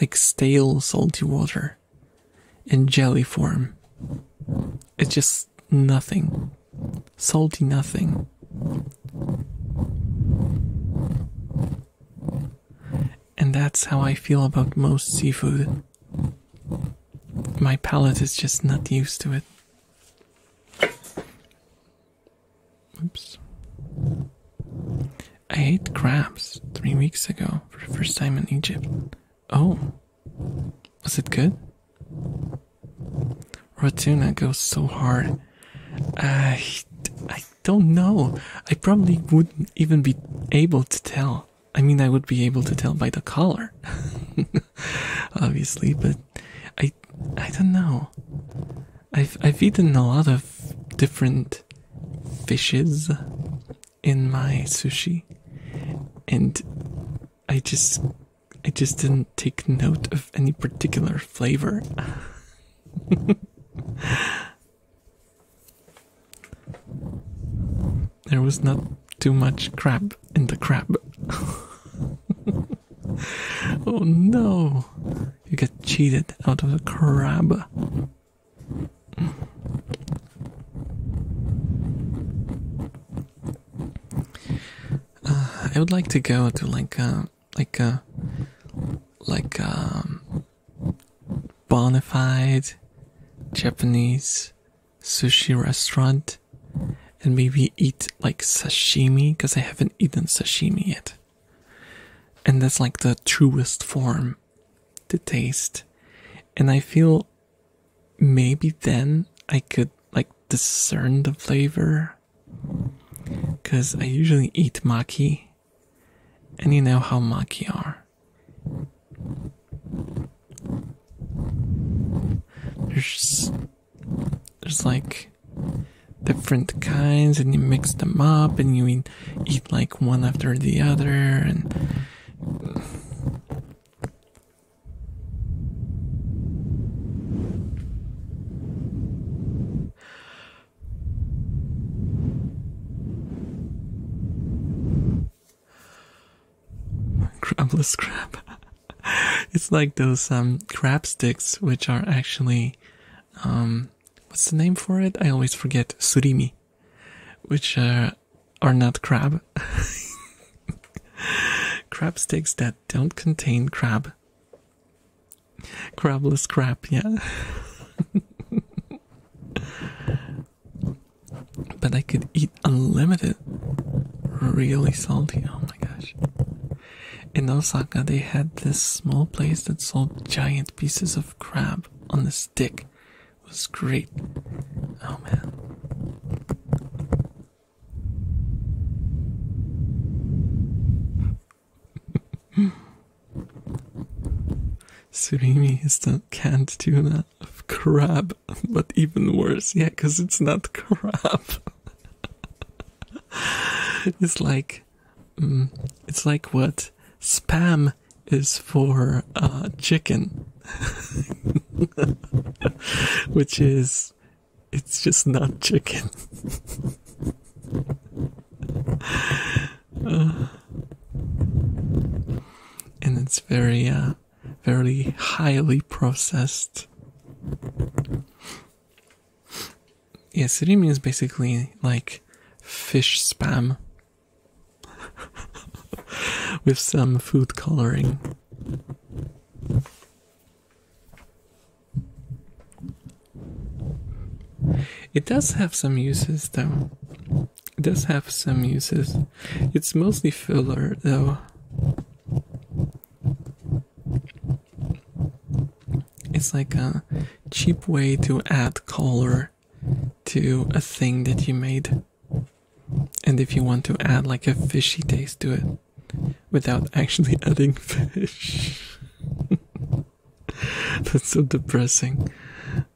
Like stale salty water in jelly form. It's just nothing. Salty nothing. And that's how I feel about most seafood. My palate is just not used to it. Oops. I ate crabs three weeks ago for the first time in Egypt. Oh, was it good? Rotuna goes so hard. I, I don't know. I probably wouldn't even be able to tell. I mean, I would be able to tell by the color, obviously, but I, I don't know. I've I've eaten a lot of different fishes in my sushi, and I just I just didn't take note of any particular flavor. there was not too much crab in the crab. oh no, you get cheated out of the crab. Uh, I would like to go to like a uh, like a uh, like um bonafide Japanese sushi restaurant and maybe eat like sashimi because I haven't eaten sashimi yet. And that's like the truest form to taste and i feel maybe then i could like discern the flavor because i usually eat maki and you know how maki are there's there's like different kinds and you mix them up and you eat, eat like one after the other and Crabless crab. it's like those um crab sticks, which are actually, um, what's the name for it? I always forget. Surimi which uh, are not crab. crab sticks that don't contain crab. Crabless crab, yeah. but I could eat unlimited. Really salty, oh my gosh. In Osaka, they had this small place that sold giant pieces of crab on a stick was great. Oh man. Surimi is the canned tuna of crab, but even worse, yeah, because it's not crab. it's like, mm, it's like what spam is for uh, chicken, which is it's just not chicken. Uh, and it's very, uh, very highly processed. Yeah, siri means basically like fish spam with some food coloring. It does have some uses though. It does have some uses. It's mostly filler though. It's like a cheap way to add color to a thing that you made. And if you want to add like a fishy taste to it without actually adding fish, that's so depressing.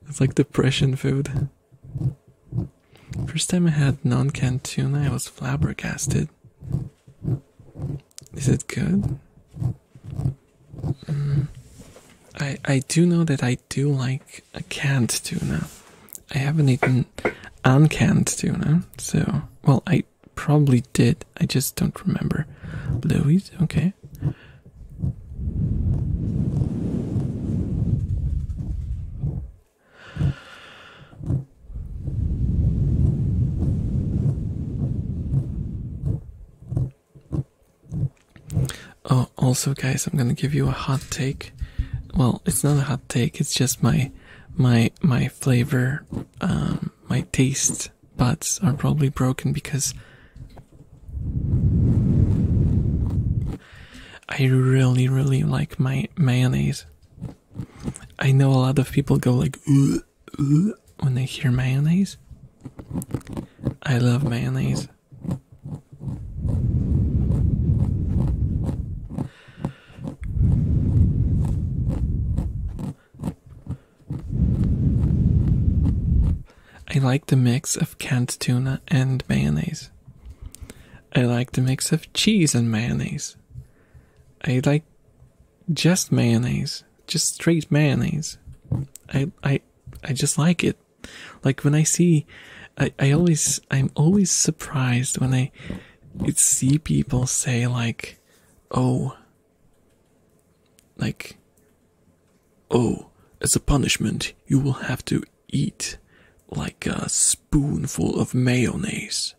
It's like depression food. First time I had non canned tuna, I was flabbergasted. Is it good? Mm. I I do know that I do like a canned tuna. I haven't eaten uncanned tuna, so well I probably did. I just don't remember. Louis, okay. Oh, also, guys, I'm gonna give you a hot take. Well, it's not a hot take. It's just my, my, my flavor. Um, my taste buds are probably broken because I really, really like my mayonnaise. I know a lot of people go like when they hear mayonnaise. I love mayonnaise. I like the mix of canned tuna and mayonnaise. I like the mix of cheese and mayonnaise. I like just mayonnaise, just straight mayonnaise. I I I just like it. Like when I see, I, I always, I'm always surprised when I see people say like, oh, like, oh, as a punishment, you will have to eat like a spoonful of mayonnaise.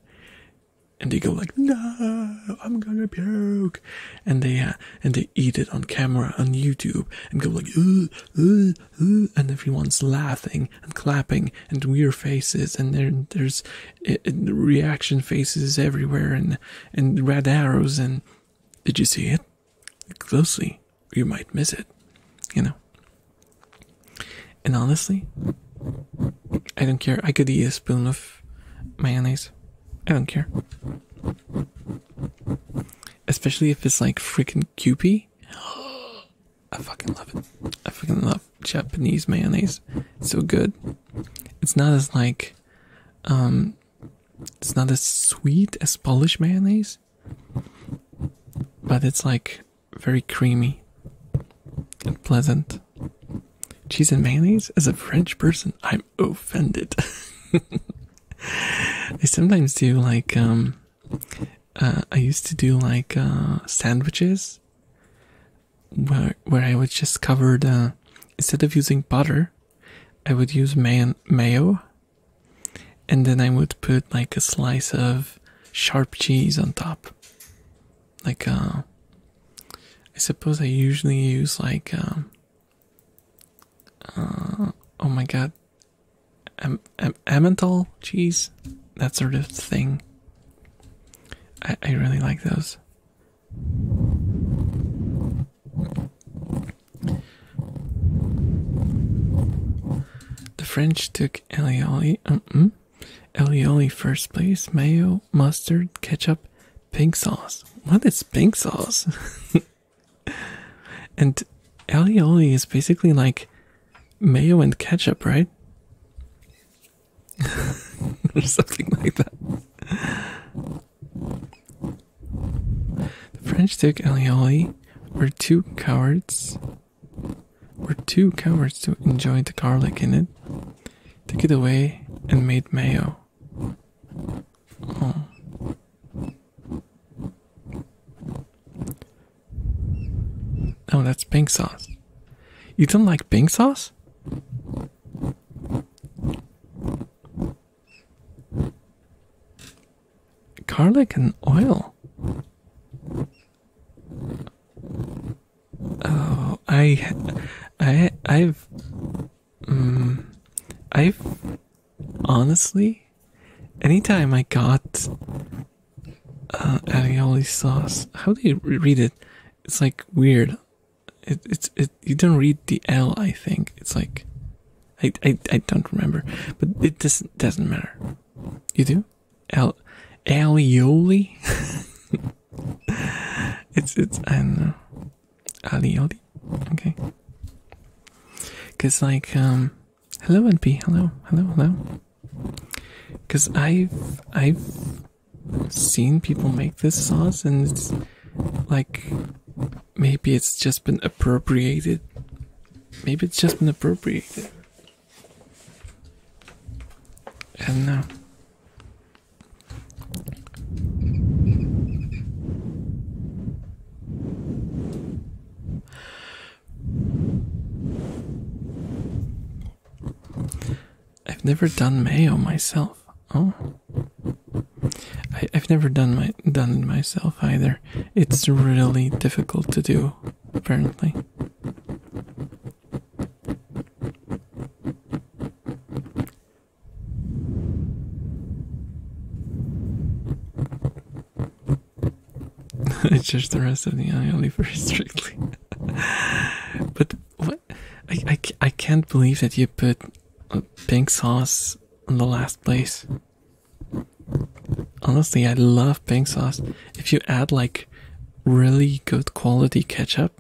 And they go like, no, I'm gonna puke. And they, uh, and they eat it on camera on YouTube and go like, ugh, ugh and everyone's laughing and clapping and weird faces, and there's reaction faces everywhere, and red arrows, and did you see it closely? You might miss it, you know. And honestly, I don't care. I could eat a spoon of mayonnaise. I don't care. Especially if it's like freaking Kewpie. I fucking love it. I fucking love Japanese mayonnaise. It's so good. It's not as like um it's not as sweet as Polish mayonnaise, but it's like very creamy and pleasant. Cheese and mayonnaise? As a French person, I'm offended. they sometimes do like um uh, I used to do like uh, sandwiches where where I would just cover the instead of using butter, I would use man mayo, and then I would put like a slice of sharp cheese on top. Like uh, I suppose I usually use like um, oh my god, am, am, Emmental cheese, that sort of thing. I, I really like those. The French took alioli, um, hmm? alioli first place, mayo, mustard, ketchup, pink sauce. What is pink sauce? and alioli is basically like mayo and ketchup, right? something like that. The French took Alioli were two cowards were two cowards to enjoy the garlic in it. Took it away and made mayo. Oh. Oh, that's pink sauce. You don't like pink sauce? Garlic and oil. Oh, I, I, I've, um, I've honestly anytime I got uh, aioli sauce, how do you read it? It's like weird. it's it. You don't read the L. I think it's like, I I I don't remember. But it doesn't doesn't matter. You do, L, aioli. it's it's I aioli. Okay. Cause like um, Hello, NP. Hello, hello, hello. Because I've I've seen people make this sauce, and it's like maybe it's just been appropriated. Maybe it's just been appropriated. And now. I've never done mayo myself. Oh, I, have never done my done it myself either. It's really difficult to do, apparently. It's just the rest of the ILE very strictly. but what? I, I, I can't believe that you put uh, pink sauce on the last place. Honestly, I love pink sauce. If you add like really good quality ketchup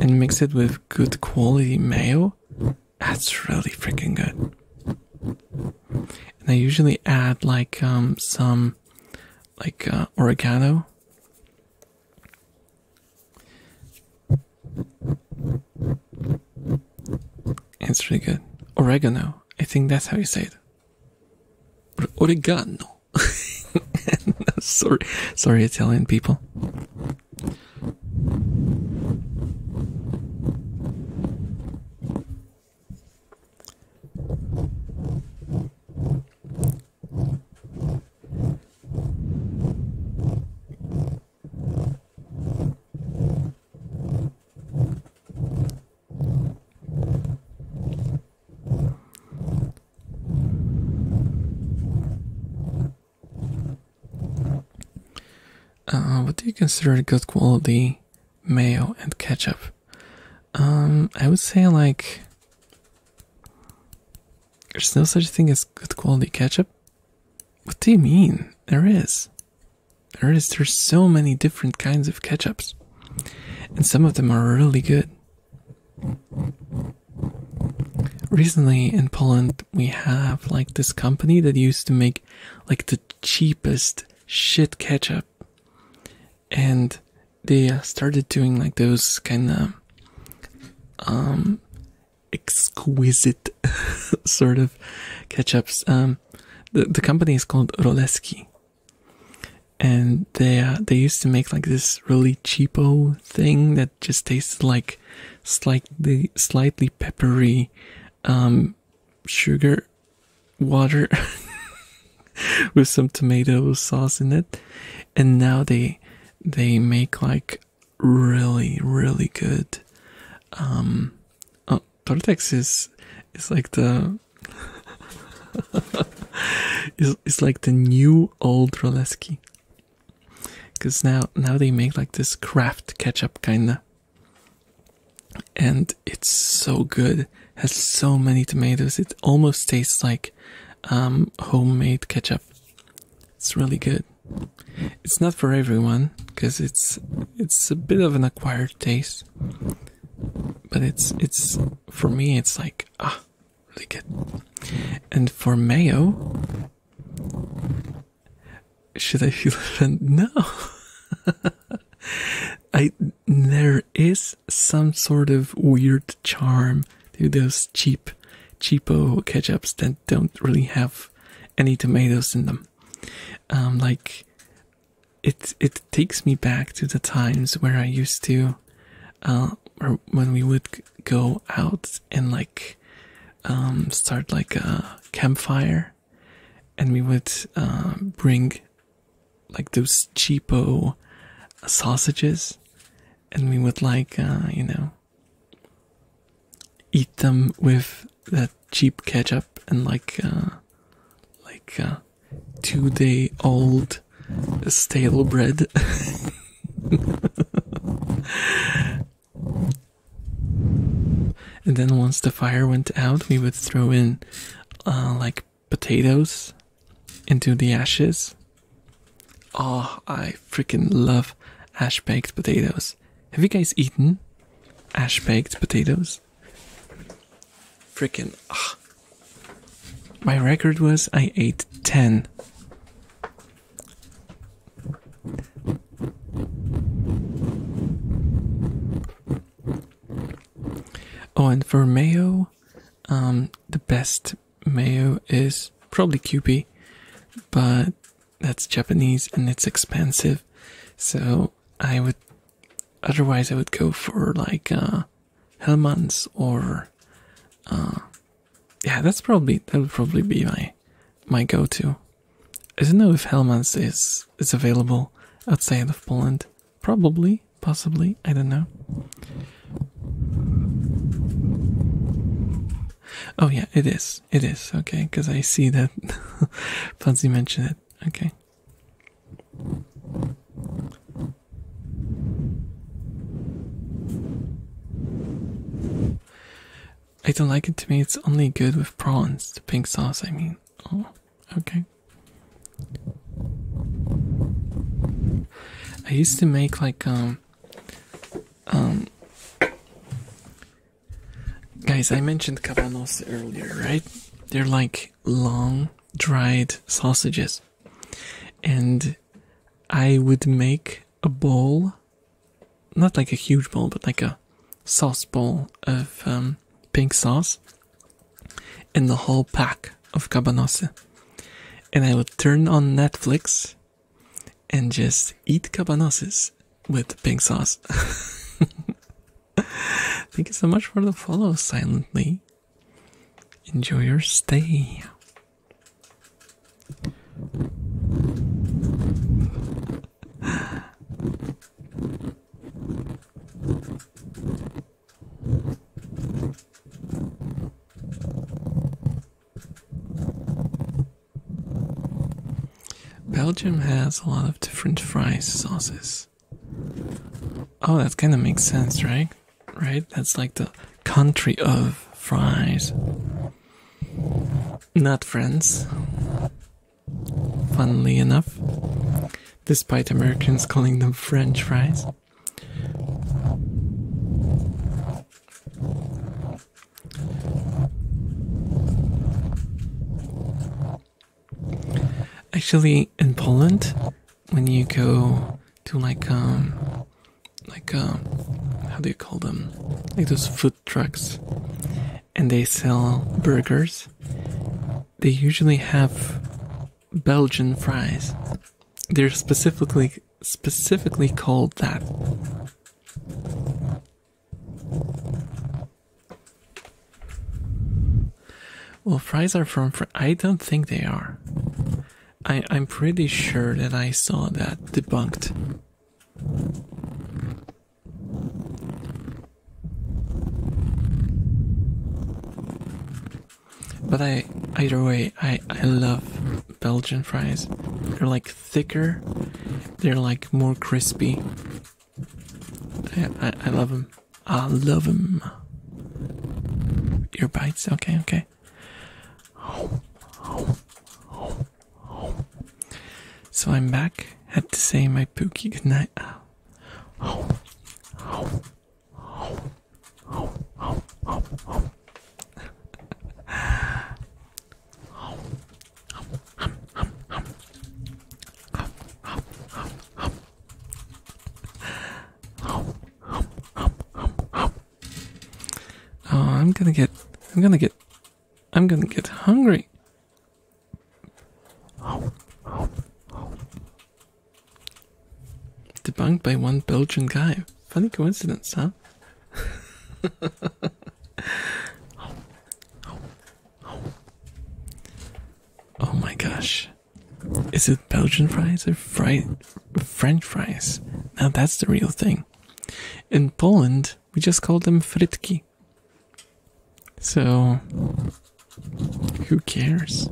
and mix it with good quality mayo, that's really freaking good. And I usually add like um some like uh, oregano. It's really good. Oregano. I think that's how you say it. Oregano. sorry, sorry, Italian people. Uh, what do you consider good quality? mayo and ketchup. Um, I would say like there's no such thing as good quality ketchup. What do you mean? There is. There is. There's so many different kinds of ketchups, and some of them are really good. Recently in Poland, we have like this company that used to make like the cheapest shit ketchup. And they uh, started doing like those kind of um exquisite sort of ketchups. Um, the the company is called Roleski, and they uh, they used to make like this really cheapo thing that just tasted like slightly slightly peppery um sugar water with some tomato sauce in it and now they they make like really really good um oh tortex is is like the it's, it's like the new old roleski because now now they make like this craft ketchup kinda and it's so good. Has so many tomatoes. It almost tastes like um, homemade ketchup. It's really good. It's not for everyone because it's it's a bit of an acquired taste, but it's it's for me. It's like ah, really good. And for mayo, should I feel offended? No. I there is some sort of weird charm to those cheap cheapo ketchups that don't really have any tomatoes in them. Um, like it it takes me back to the times where I used to or uh, when we would go out and like um, start like a campfire and we would um, bring like those cheapo sausages and we would like uh, you know eat them with that cheap ketchup and like uh, like uh, two day old stale bread and then once the fire went out, we would throw in uh, like potatoes into the ashes. Oh, I freaking love ash baked potatoes. Have you guys eaten ash baked potatoes? Freaking. My record was I ate 10. Oh, and for mayo, um, the best mayo is probably Kewpie, but that's Japanese and it's expensive. So I would, otherwise I would go for like uh, Hellman's or, uh, yeah, that's probably that would probably be my my go-to. I don't know if Helman's is is available outside of Poland. Probably, possibly, I don't know. Oh yeah, it is. It is okay, because I see that Fancy mentioned it. Okay. I don't like it to me, it's only good with prawns, the pink sauce I mean. Oh, okay. I used to make like um um guys I mentioned cabanos earlier, right? They're like long dried sausages. And I would make a bowl not like a huge bowl, but like a sauce bowl of um, pink sauce and the whole pack of cabanossi. And I would turn on Netflix and just eat cabanossis with pink sauce. Thank you so much for the follow silently. Enjoy your stay. Belgium has a lot of different fry sauces. Oh, that kind of makes sense, right? Right? That's like the country of fries. Not France. Funnily enough, despite Americans calling them French fries, actually in Poland, when you go to like um like um how do you call them like those food trucks and they sell burgers. They usually have Belgian fries. They're specifically specifically called that. Well, fries are from I don't think they are. I I'm pretty sure that I saw that debunked. But I, either way, I, I love Belgian fries. They're like thicker, they're like more crispy. I, I, love them. I love them. Your bites? Okay, okay. So I'm back. Had to say my pookie goodnight. Oh, I'm gonna get, I'm gonna get, I'm gonna get hungry. Debunked by one Belgian guy. Funny coincidence, huh? oh my gosh. Is it Belgian fries or fri French fries? Now that's the real thing. In Poland, we just call them fritki. So, who cares?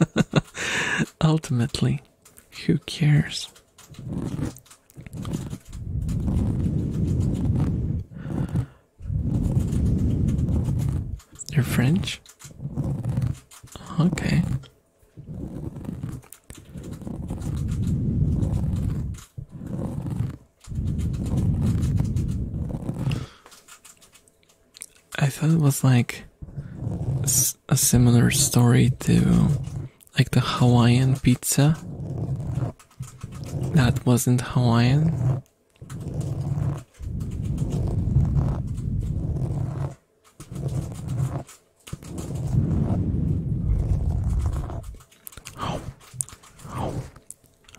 Ultimately, who cares? You're French? Okay. I thought it was like a similar story to like the Hawaiian pizza. That wasn't Hawaiian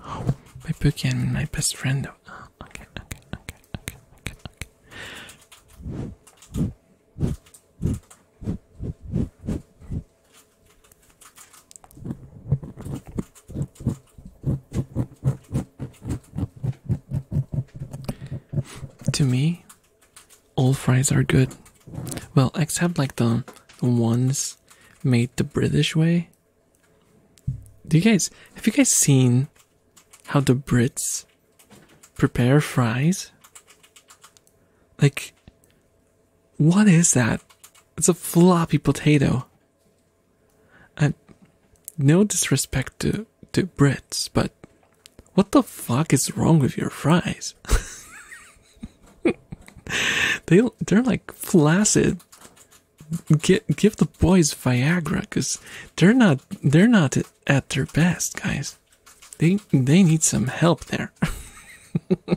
my bookie and my best friend. okay, okay, okay, okay, okay, okay. To me, all fries are good. Well, except like the ones made the British way. Do you guys have you guys seen how the Brits prepare fries? Like what is that? It's a floppy potato. And uh, no disrespect to to Brits, but what the fuck is wrong with your fries? they they're like flaccid. Give give the boys Viagra, cause they're not they're not at their best, guys. They they need some help there.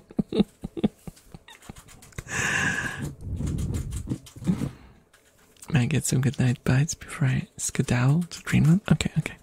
May I get some good night bites before I skedaddle to Greenland? Okay, okay.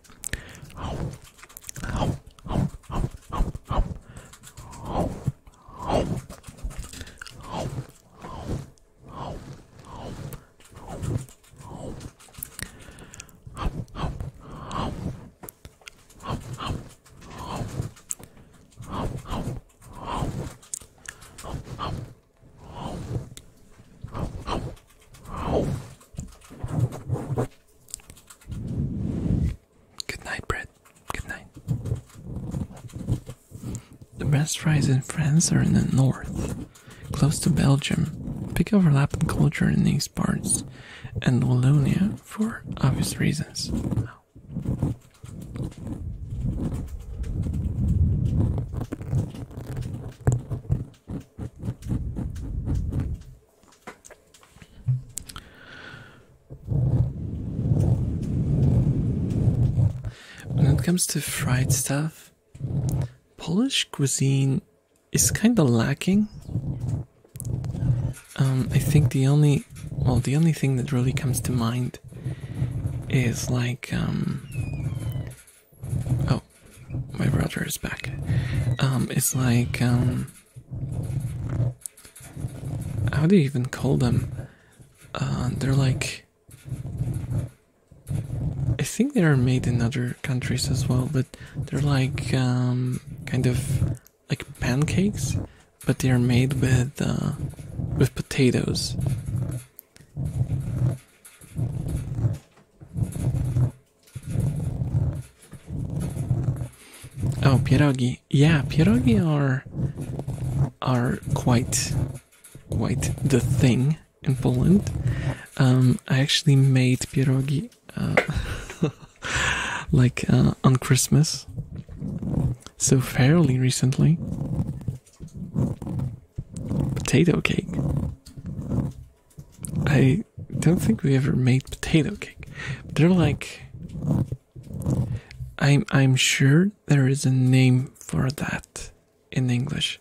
Good night, Brett. Good night. The best fries in France are in the north, close to Belgium, big overlap in culture in these parts, and Wallonia for obvious reasons. When it comes to fried stuff, Polish cuisine is kind of lacking. Um, I think the only, well, the only thing that really comes to mind is like, um, oh, my brother is back. Um, it's like, how do you even call them? Uh, they're like. I think they are made in other countries as well, but they're like um, kind of like pancakes, but they are made with uh, with potatoes. Oh, pierogi. Yeah, pierogi are are quite quite the thing in Poland. Um, I actually made pierogi uh, like uh, on Christmas, so fairly recently. Potato cake. I don't think we ever made potato cake. They're like I'm I'm sure there is a name for that in English.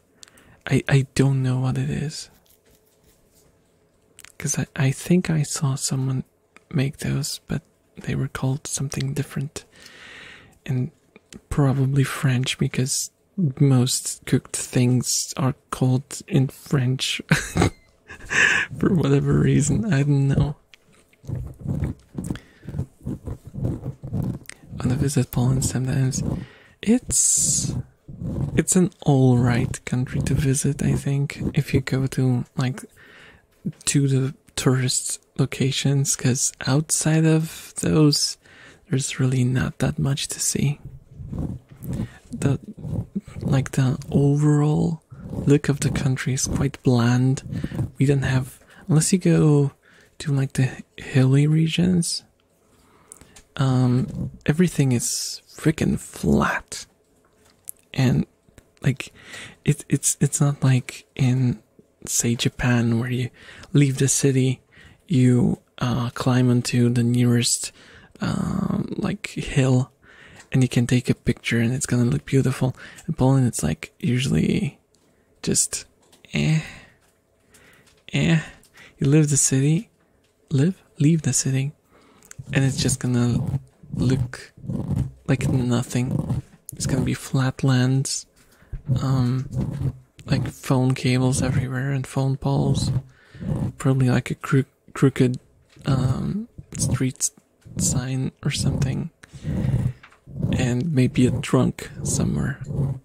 I I don't know what it is. Cause I, I think I saw someone make those, but they were called something different. And probably French because most cooked things are called in French for whatever reason. I don't know. On the visit Poland sometimes it's it's an alright country to visit, I think, if you go to like to the tourist locations, because outside of those there's really not that much to see. The like the overall look of the country is quite bland. We don't have unless you go go to like the hilly regions, um, everything is freaking flat, and like it, it's it's not like in say Japan where you leave the city, you uh, climb onto the nearest um, like hill, and you can take a picture and it's gonna look beautiful. In Poland, it's like usually just eh eh you leave the city live leave the city and it's just gonna look like nothing it's gonna be flatlands, um like phone cables everywhere and phone poles probably like a crooked um, street sign or something and maybe a trunk somewhere. oh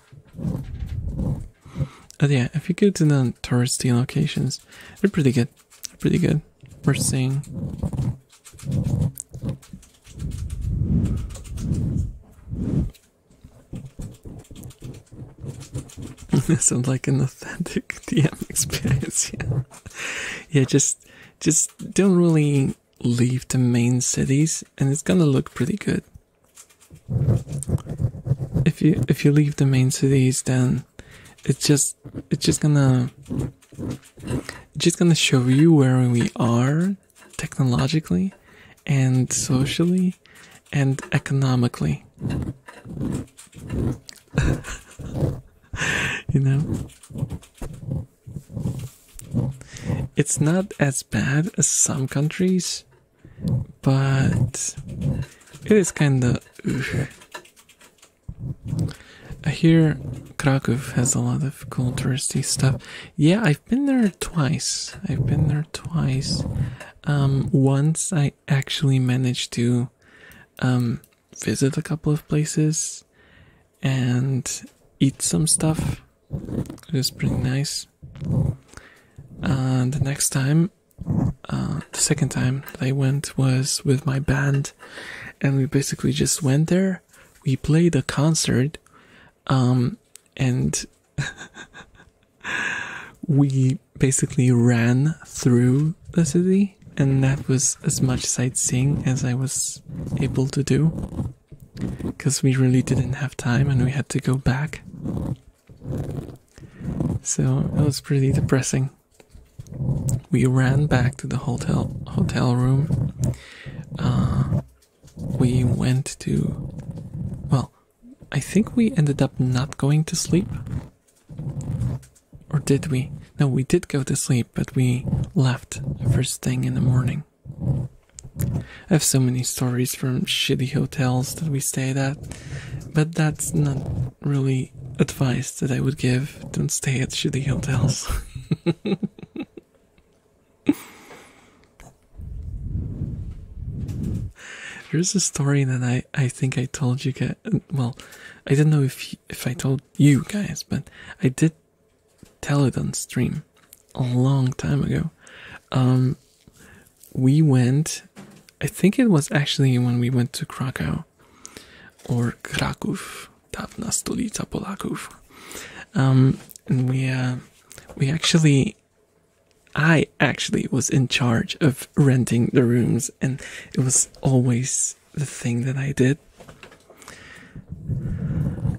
yeah, if you go to the touristy locations, they're pretty good. They're pretty good. We're seeing. Sounds like an authentic DM experience. Yeah, yeah, just just don't really leave the main cities and it's gonna look pretty good if you if you leave the main cities then it's just it's just gonna just gonna show you where we are technologically and socially and economically you know? It's not as bad as some countries, but it is kind of. I hear Krakow has a lot of touristy stuff. Yeah, I've been there twice. I've been there twice. Um, once I actually managed to um, visit a couple of places and eat some stuff. It was pretty nice. And uh, the next time, uh, the second time I went was with my band, and we basically just went there. We played a concert, um, and we basically ran through the city and that was as much sightseeing as I was able to do because we really didn't have time and we had to go back. So it was pretty depressing. We ran back to the hotel hotel room. Uh, we went to well, I think we ended up not going to sleep. Or did we? No, we did go to sleep, but we left the first thing in the morning. I have so many stories from shitty hotels that we stayed at, but that's not really advice that I would give. Don't stay at shitty hotels. There's a story that I, I think I told you Well, I don't know if if I told you guys, but I did tell it on stream a long time ago. Um, we went, I think it was actually when we went to Krakow or Kraków, Tavna Stolica Polaków. Um, and we, uh, we actually, I actually was in charge of renting the rooms, and it was always the thing that I did.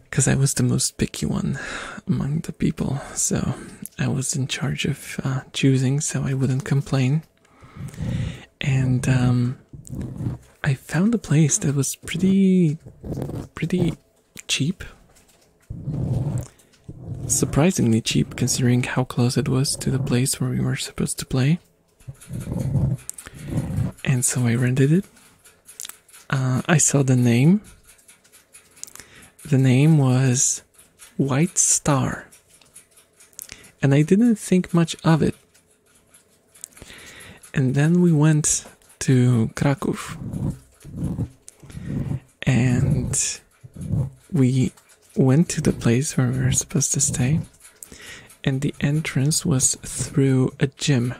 Because I was the most picky one among the people, so I was in charge of uh, choosing, so I wouldn't complain. And um, I found a place that was pretty, pretty cheap. Surprisingly cheap, considering how close it was to the place where we were supposed to play and so I rented it. Uh, I saw the name. The name was White Star, and I didn't think much of it. And then we went to Krakow, and we went to the place where we were supposed to stay and the entrance was through a gym.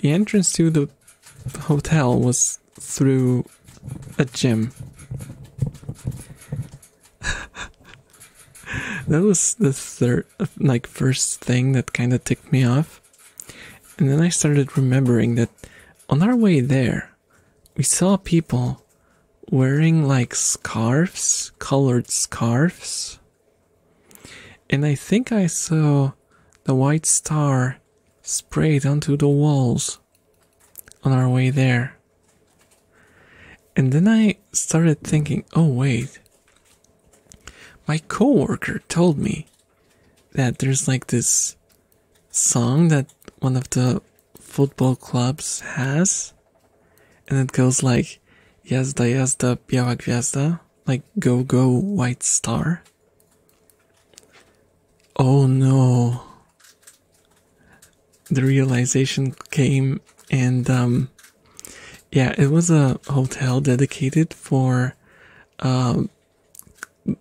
The entrance to the hotel was through a gym. that was the third, like, first thing that kind of ticked me off. And then I started remembering that on our way there, we saw people wearing like scarves, colored scarves. And I think I saw the white star sprayed onto the walls on our way there. And then I started thinking, oh, wait. My coworker told me that there's like this song that one of the football clubs has, and it goes like Yazda Yazda Biała Gwiazda, like Go Go White Star. Oh no. The realization came and um, yeah, it was a hotel dedicated for uh,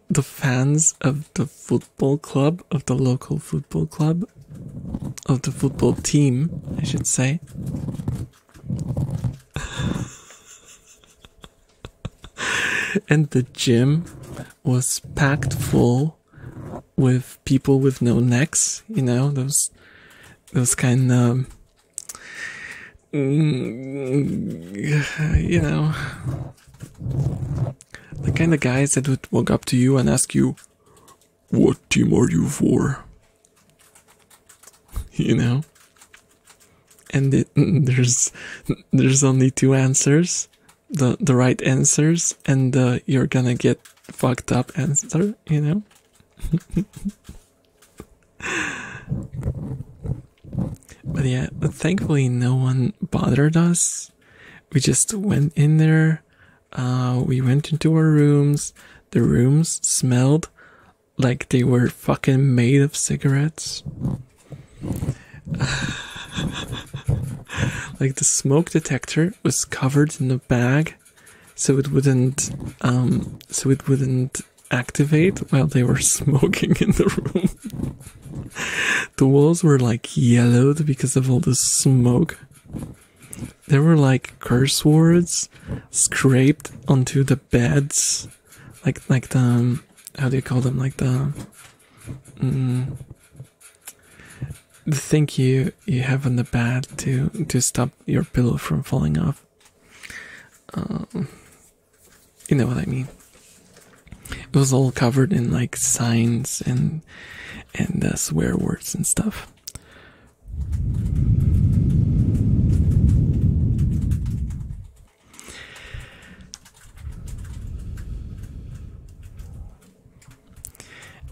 the fans of the foot football club, of the local football club, of the football team, I should say. and the gym was packed full with people with no necks, you know, those those kind of mm, you know the kind of guys that would walk up to you and ask you what team are you for? You know? And there's there's only two answers, the the right answers, and uh, you're gonna get fucked up answer. You know. but yeah, thankfully no one bothered us. We just went in there, uh, we went into our rooms. The rooms smelled like they were fucking made of cigarettes. like the smoke detector was covered in a bag so it wouldn't um so it wouldn't activate while they were smoking in the room. the walls were like yellowed because of all the smoke there were like curse words scraped onto the beds, like like the um, how do you call them? Like the mm, thing you you have on the bed to to stop your pillow from falling off. Um, you know what I mean. It was all covered in like signs and and uh, swear words and stuff.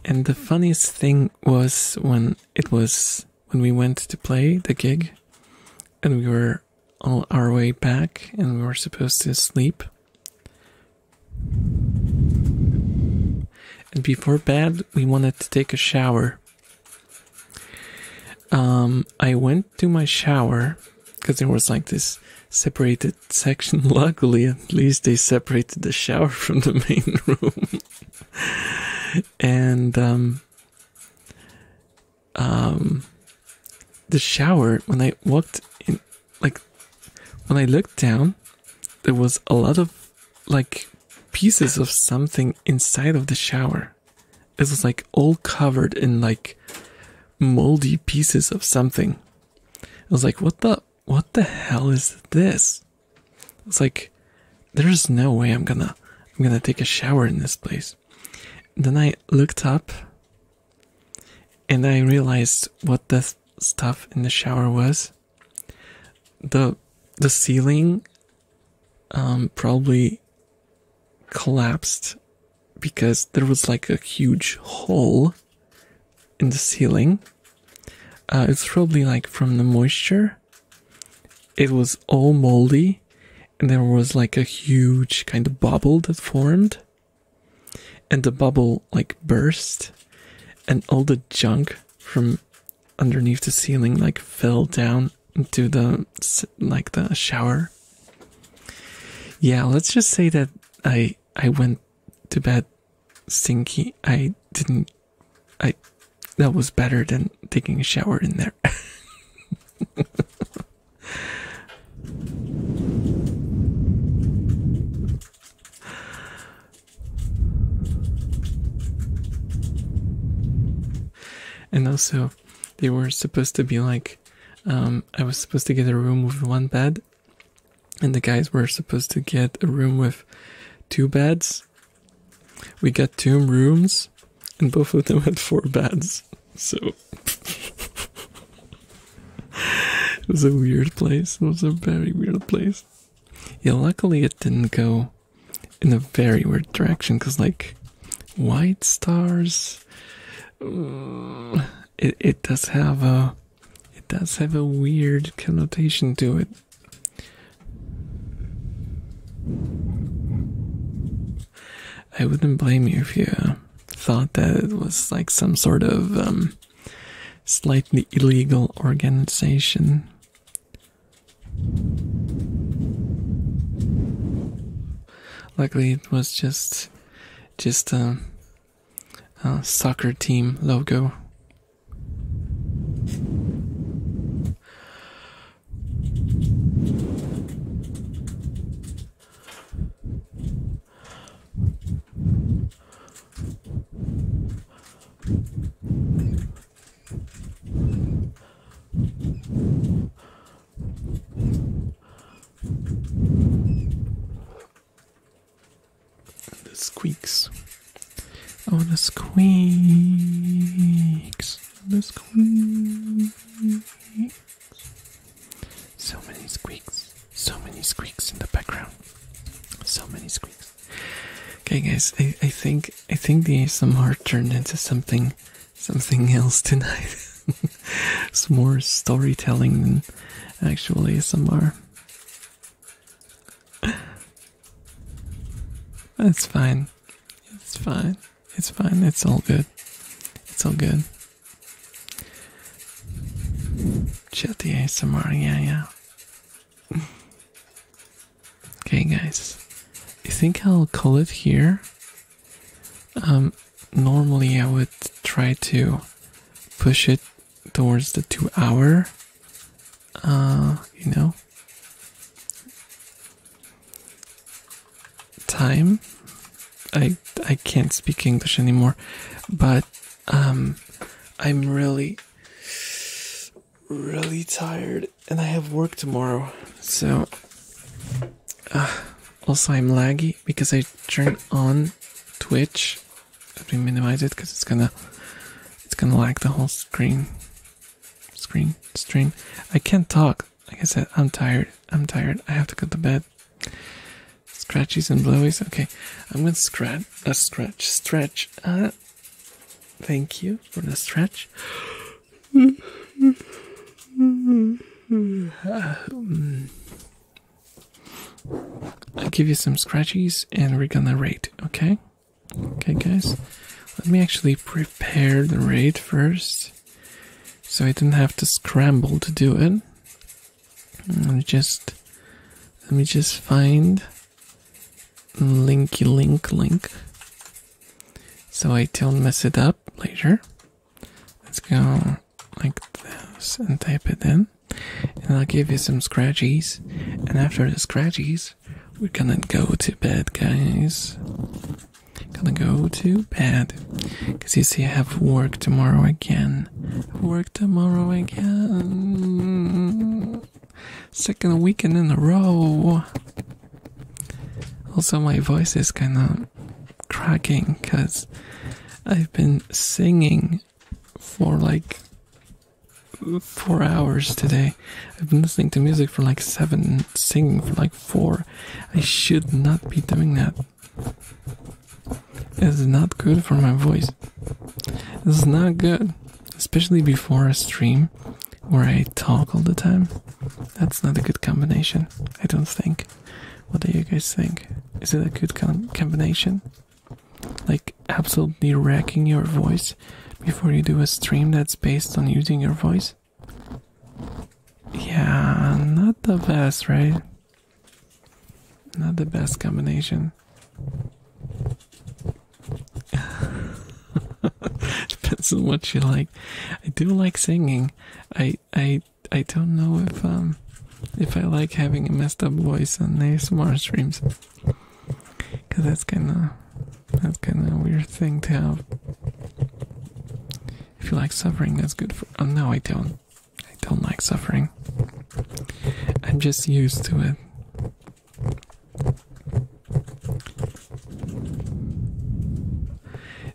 And the funniest thing was when it was when we went to play the gig and we were on our way back and we were supposed to sleep and before bed, we wanted to take a shower. Um, I went to my shower because there was like this separated section. Luckily, at least they separated the shower from the main room. and um, um, the shower, when I walked in, like when I looked down, there was a lot of like pieces of something inside of the shower. It was like all covered in like moldy pieces of something. I was like, what the what the hell is this? It's like there's no way I'm gonna I'm gonna take a shower in this place. then I looked up and I realized what the stuff in the shower was the the ceiling um, probably collapsed because there was like a huge hole in the ceiling. Uh, it's probably like from the moisture. It was all moldy, and there was like a huge kind of bubble that formed, and the bubble like burst, and all the junk from underneath the ceiling like fell down into the like the shower. Yeah, let's just say that I I went to bed stinky. I didn't I that was better than taking a shower in there. And also, they were supposed to be like, um, I was supposed to get a room with one bed, and the guys were supposed to get a room with two beds. We got two rooms, and both of them had four beds. So it was a weird place. It was a very weird place. Yeah, luckily it didn't go in a very weird direction because, like, white stars. Mm, it it does have a it does have a weird connotation to it. I wouldn't blame you if you thought that it was like some sort of um, slightly illegal organization. Luckily, it was just just a, a soccer team logo. The squeaks. Oh, the squeaks. The squeaks. So many squeaks. So many squeaks in the background. So many squeaks. Okay, guys, I, think I think the ASMR turned into something something else tonight. it's more storytelling than actual ASMR. That's fine. It's fine. It's fine. It's all good. It's all good. Chat the ASMR, yeah, yeah okay, guys, I think I'll call it here. Um, normally, I would try to push it towards the two hour, uh, you know, time. I I can't speak English anymore, but um, I'm really really tired and I have work tomorrow. So, uh, also, I'm laggy because I turn on Twitch. Let me minimize it because it's gonna it's gonna lag the whole screen. Screen stream. I can't talk. Like I said, I'm tired. I'm tired. I have to go to bed. Scratchies and blowies. Okay, I'm gonna scratch. Uh, a stretch. Stretch. Uh, Thank you for the stretch. I'll give you some scratches and we're gonna raid, okay? Okay, guys. Let me actually prepare the raid first so I didn't have to scramble to do it. Let me just let me just find linky link link. So I don't mess it up later. Let's go like this and type it in. And I'll give you some scratchies. And after the scratchies, we're gonna go to bed, guys. Gonna go to bed. Because you see, I have work tomorrow again. Work tomorrow again. Second weekend in a row. Also, my voice is kind of cracking because I've been singing for like four hours today. I've been listening to music for like seven, singing for like four. I should not be doing that. It's not good for my voice. It's not good especially before a stream where I talk all the time. That's not a good combination, I don't think. What do you guys think? Is it a good combination? Like, absolutely wrecking your voice before you do a stream that's based on using your voice? Yeah, not the best, right? Not the best combination. Depends on what you like. I do like singing. I I I don't know if um if I like having a messed up voice on ASMR streams. Cause that's kinda that's kinda weird thing to have. If you like suffering, that's good for oh, no I don't. I don't like suffering. I'm just used to it.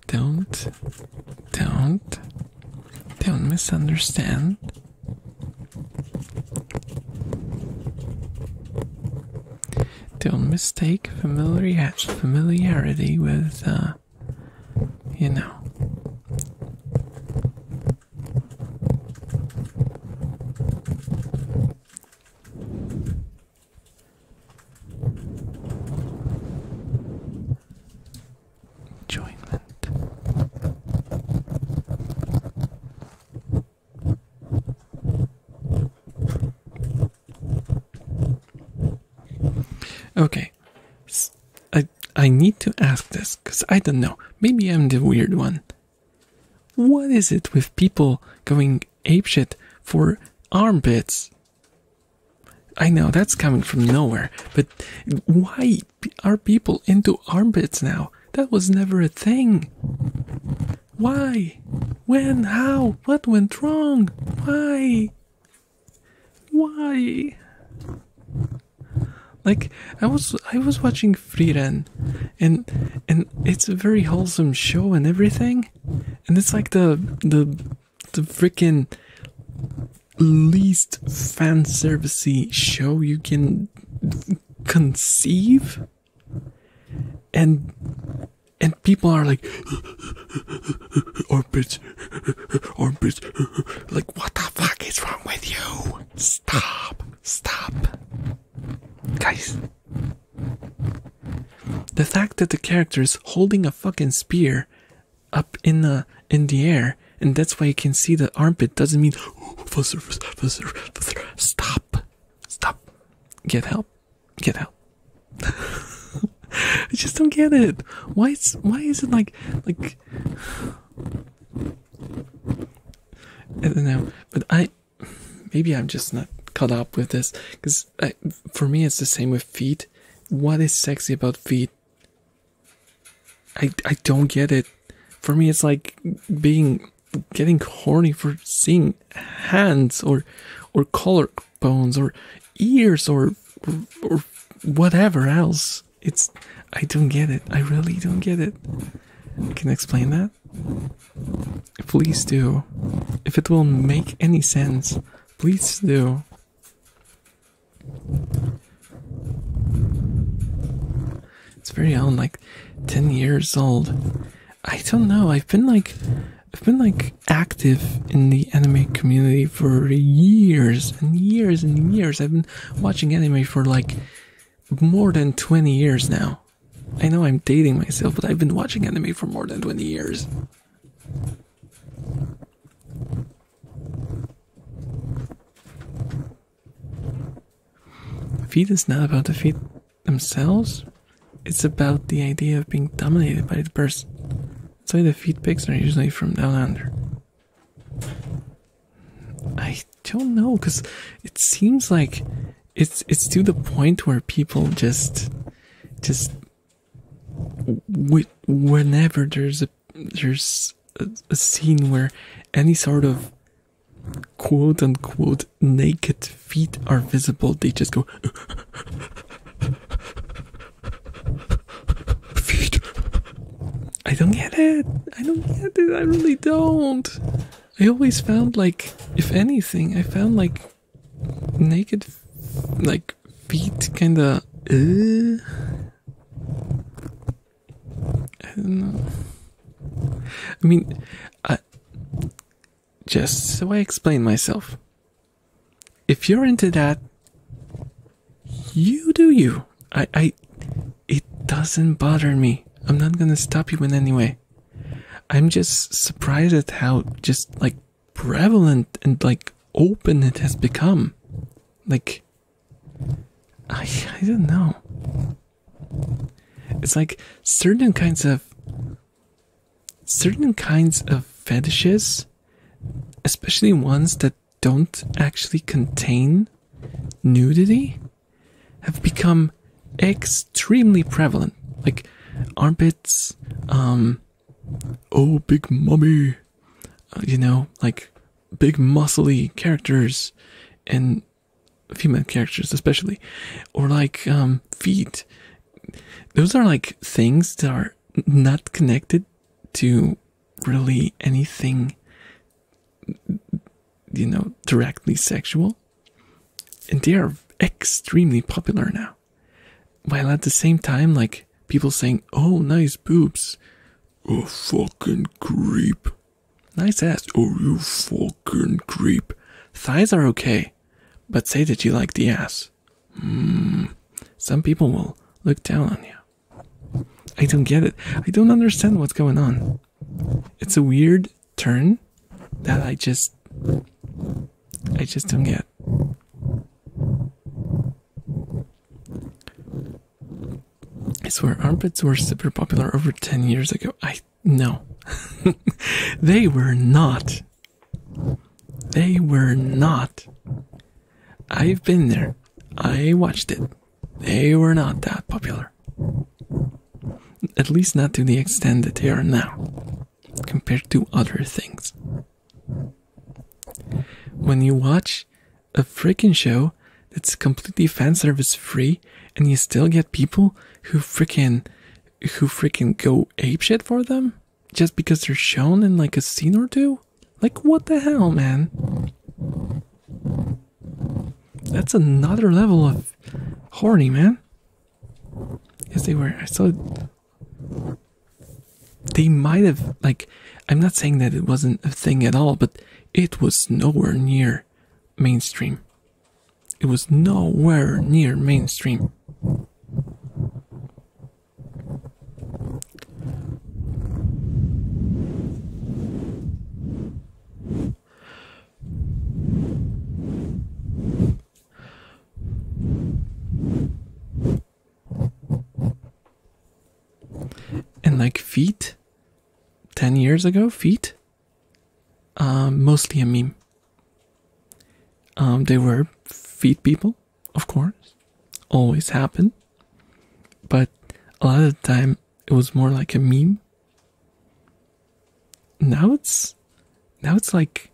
Don't, don't, don't misunderstand. Don't mistake familiarity with, uh, you know. Enjoyment. Okay, I I need to ask this because I don't know. Maybe I'm the weird one. What is it with people going apeshit for armpits? I know that's coming from nowhere, but why are people into armpits now? That was never a thing. Why? When? How? What went wrong? Why? Why? Like I was I was watching Frieren and and it's a very wholesome show and everything and it's like the the the freaking least fan servicey show you can conceive and and people are like armpits oh, armpits oh, like what the fuck is wrong with you stop stop guys the fact that the character is holding a fucking spear up in the in the air, and that's why you can see the armpit doesn't mean stop, stop, get help, get help. I just don't get it. Why is why is it like like? I don't know, but I maybe I'm just not caught up with this because for me it's the same with feet. What is sexy about feet? I I don't get it. For me, it's like being getting horny for seeing hands or or collarbones or ears or, or whatever else. It's I don't get it. I really don't get it. You can explain that. Please do. If it will make any sense, please do. It's very old, like 10 years old. I don't know. I've been like I've been like active in the anime community for years and years and years. I've been watching anime for like more than 20 years now. I know I'm dating myself, but I've been watching anime for more than 20 years. Feet is not about the feet themselves, it's about the idea of being dominated by the person. That's why the feet pics are usually from down under. I don't know, because it seems like it's it's to the point where people just just whenever there's a there's a, scene where any sort of quote unquote naked feet are visible, they just go feet. I don't get it. I don't get it. I really don't. I always found like, if anything, I found like naked, like feet, kind of. Uh, I don't know. I mean, I, just so I explain myself. If you're into that, you do you. I, I, it doesn't bother me. I'm not gonna stop you in any way. I'm just surprised at how just like prevalent and like open it has become. Like, I, I don't know. It's like certain kinds of certain kinds of fetishes, especially ones that don't actually contain nudity, have become extremely prevalent. Like armpits, um, oh, big mummy, uh, you know, like big muscly characters and female characters, especially, or like um, feet. Those are like things that are not connected to really anything you know directly sexual and they are extremely popular now. While at the same time, like people saying, "Oh, nice boobs," "Oh, fucking creep," "Nice ass," "Oh, you fucking creep." Thighs are okay, but say that you like the ass. Hmm. Some people will look down on you. I don't get it. I don't understand what's going on. It's a weird turn that I just I just don't get. I swear armpits were super popular over 10 years ago. I no. they were not. They were not. I've been there. I watched it. They were not that popular. At least not to the extent that they are now, compared to other things. When you watch a freaking show that's completely fan service free, and you still get people who freaking who freaking go ape shit for them just because they're shown in like a scene or two, like what the hell, man? That's another level of horny, man. Yes, they were. I saw. They might have like. I'm not saying that it wasn't a thing at all, but it was nowhere near mainstream. It was nowhere near mainstream. And like feet, 10 years ago, feet, um, mostly a meme. Um, they were feet people, of course, always happen. But a lot of the time, it was more like a meme now it's now it's like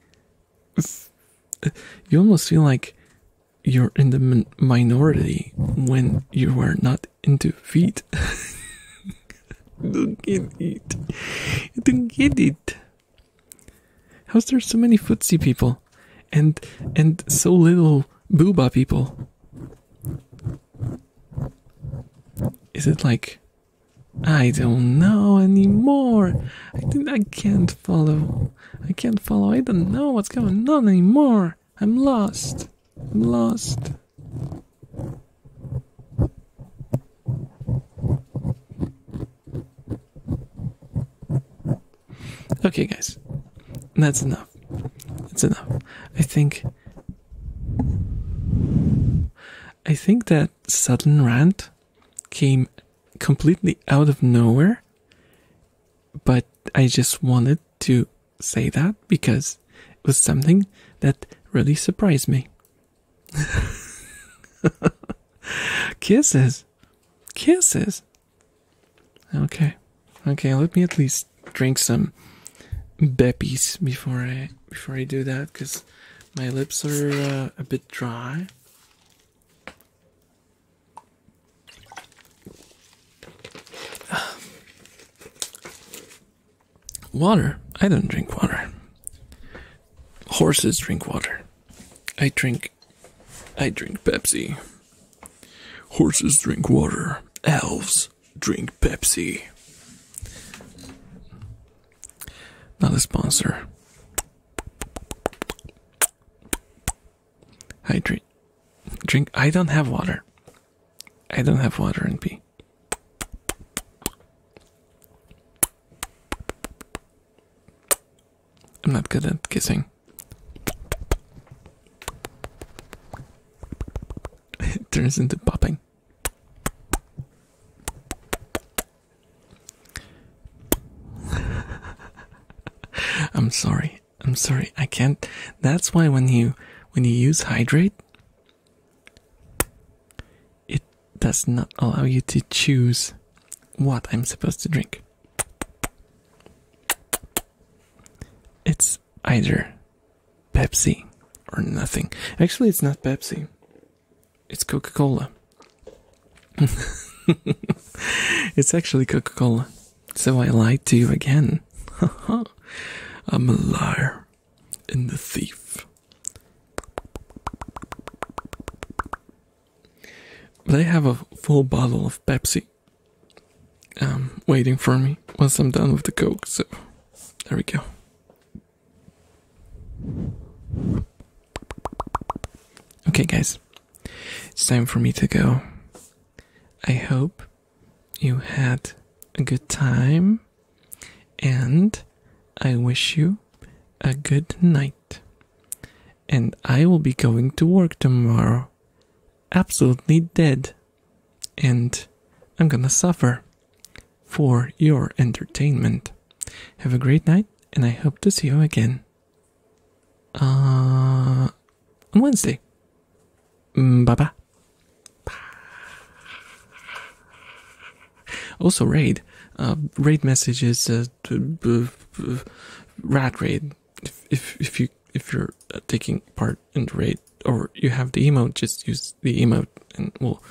you almost feel like you're in the minority when you were not into feet. don't get it. don't get it. How's there so many footsie people, and and so little booba people? Is it like I don't know anymore. I think I can't follow. I can't follow. I don't know what's going on anymore. I'm lost. I'm lost. Okay, guys. That's enough. That's enough. I think I think that sudden rant came completely out of nowhere, but I just wanted to say that because it was something that really surprised me. Kisses. Kisses. Okay. Okay, let me at least drink some Beppies before I before I do that cuz my lips are uh, a bit dry. Water. I don't drink water. Horses drink water. I drink. I drink Pepsi. Horses drink water. Elves drink Pepsi. Not a sponsor. Hydrate. Drink. I don't have water. I don't have water and pee. I'm not good at kissing. it turns into popping. I'm sorry. I'm sorry. I can't. That's why when you when you use hydrate, it does not allow you to choose what I'm supposed to drink. It's either Pepsi or nothing. Actually, it's not Pepsi. It's Coca Cola. it's actually Coca Cola. So I lied to you again. I'm a liar and a thief. But I have a full bottle of Pepsi um, waiting for me once I'm done with the Coke, so there we go. Okay, guys, it's time for me to go. I hope you had a good time, and I wish you a good night. And I will be going to work tomorrow, absolutely dead, and I'm gonna suffer for your entertainment. Have a great night, and I hope to see you again uh, on Wednesday. Mm, bye bye. Also, raid. Uh, raid messages. Uh, uh, rat raid. If, if if you if you're uh, taking part in the raid or you have the emote, just use the emote and we'll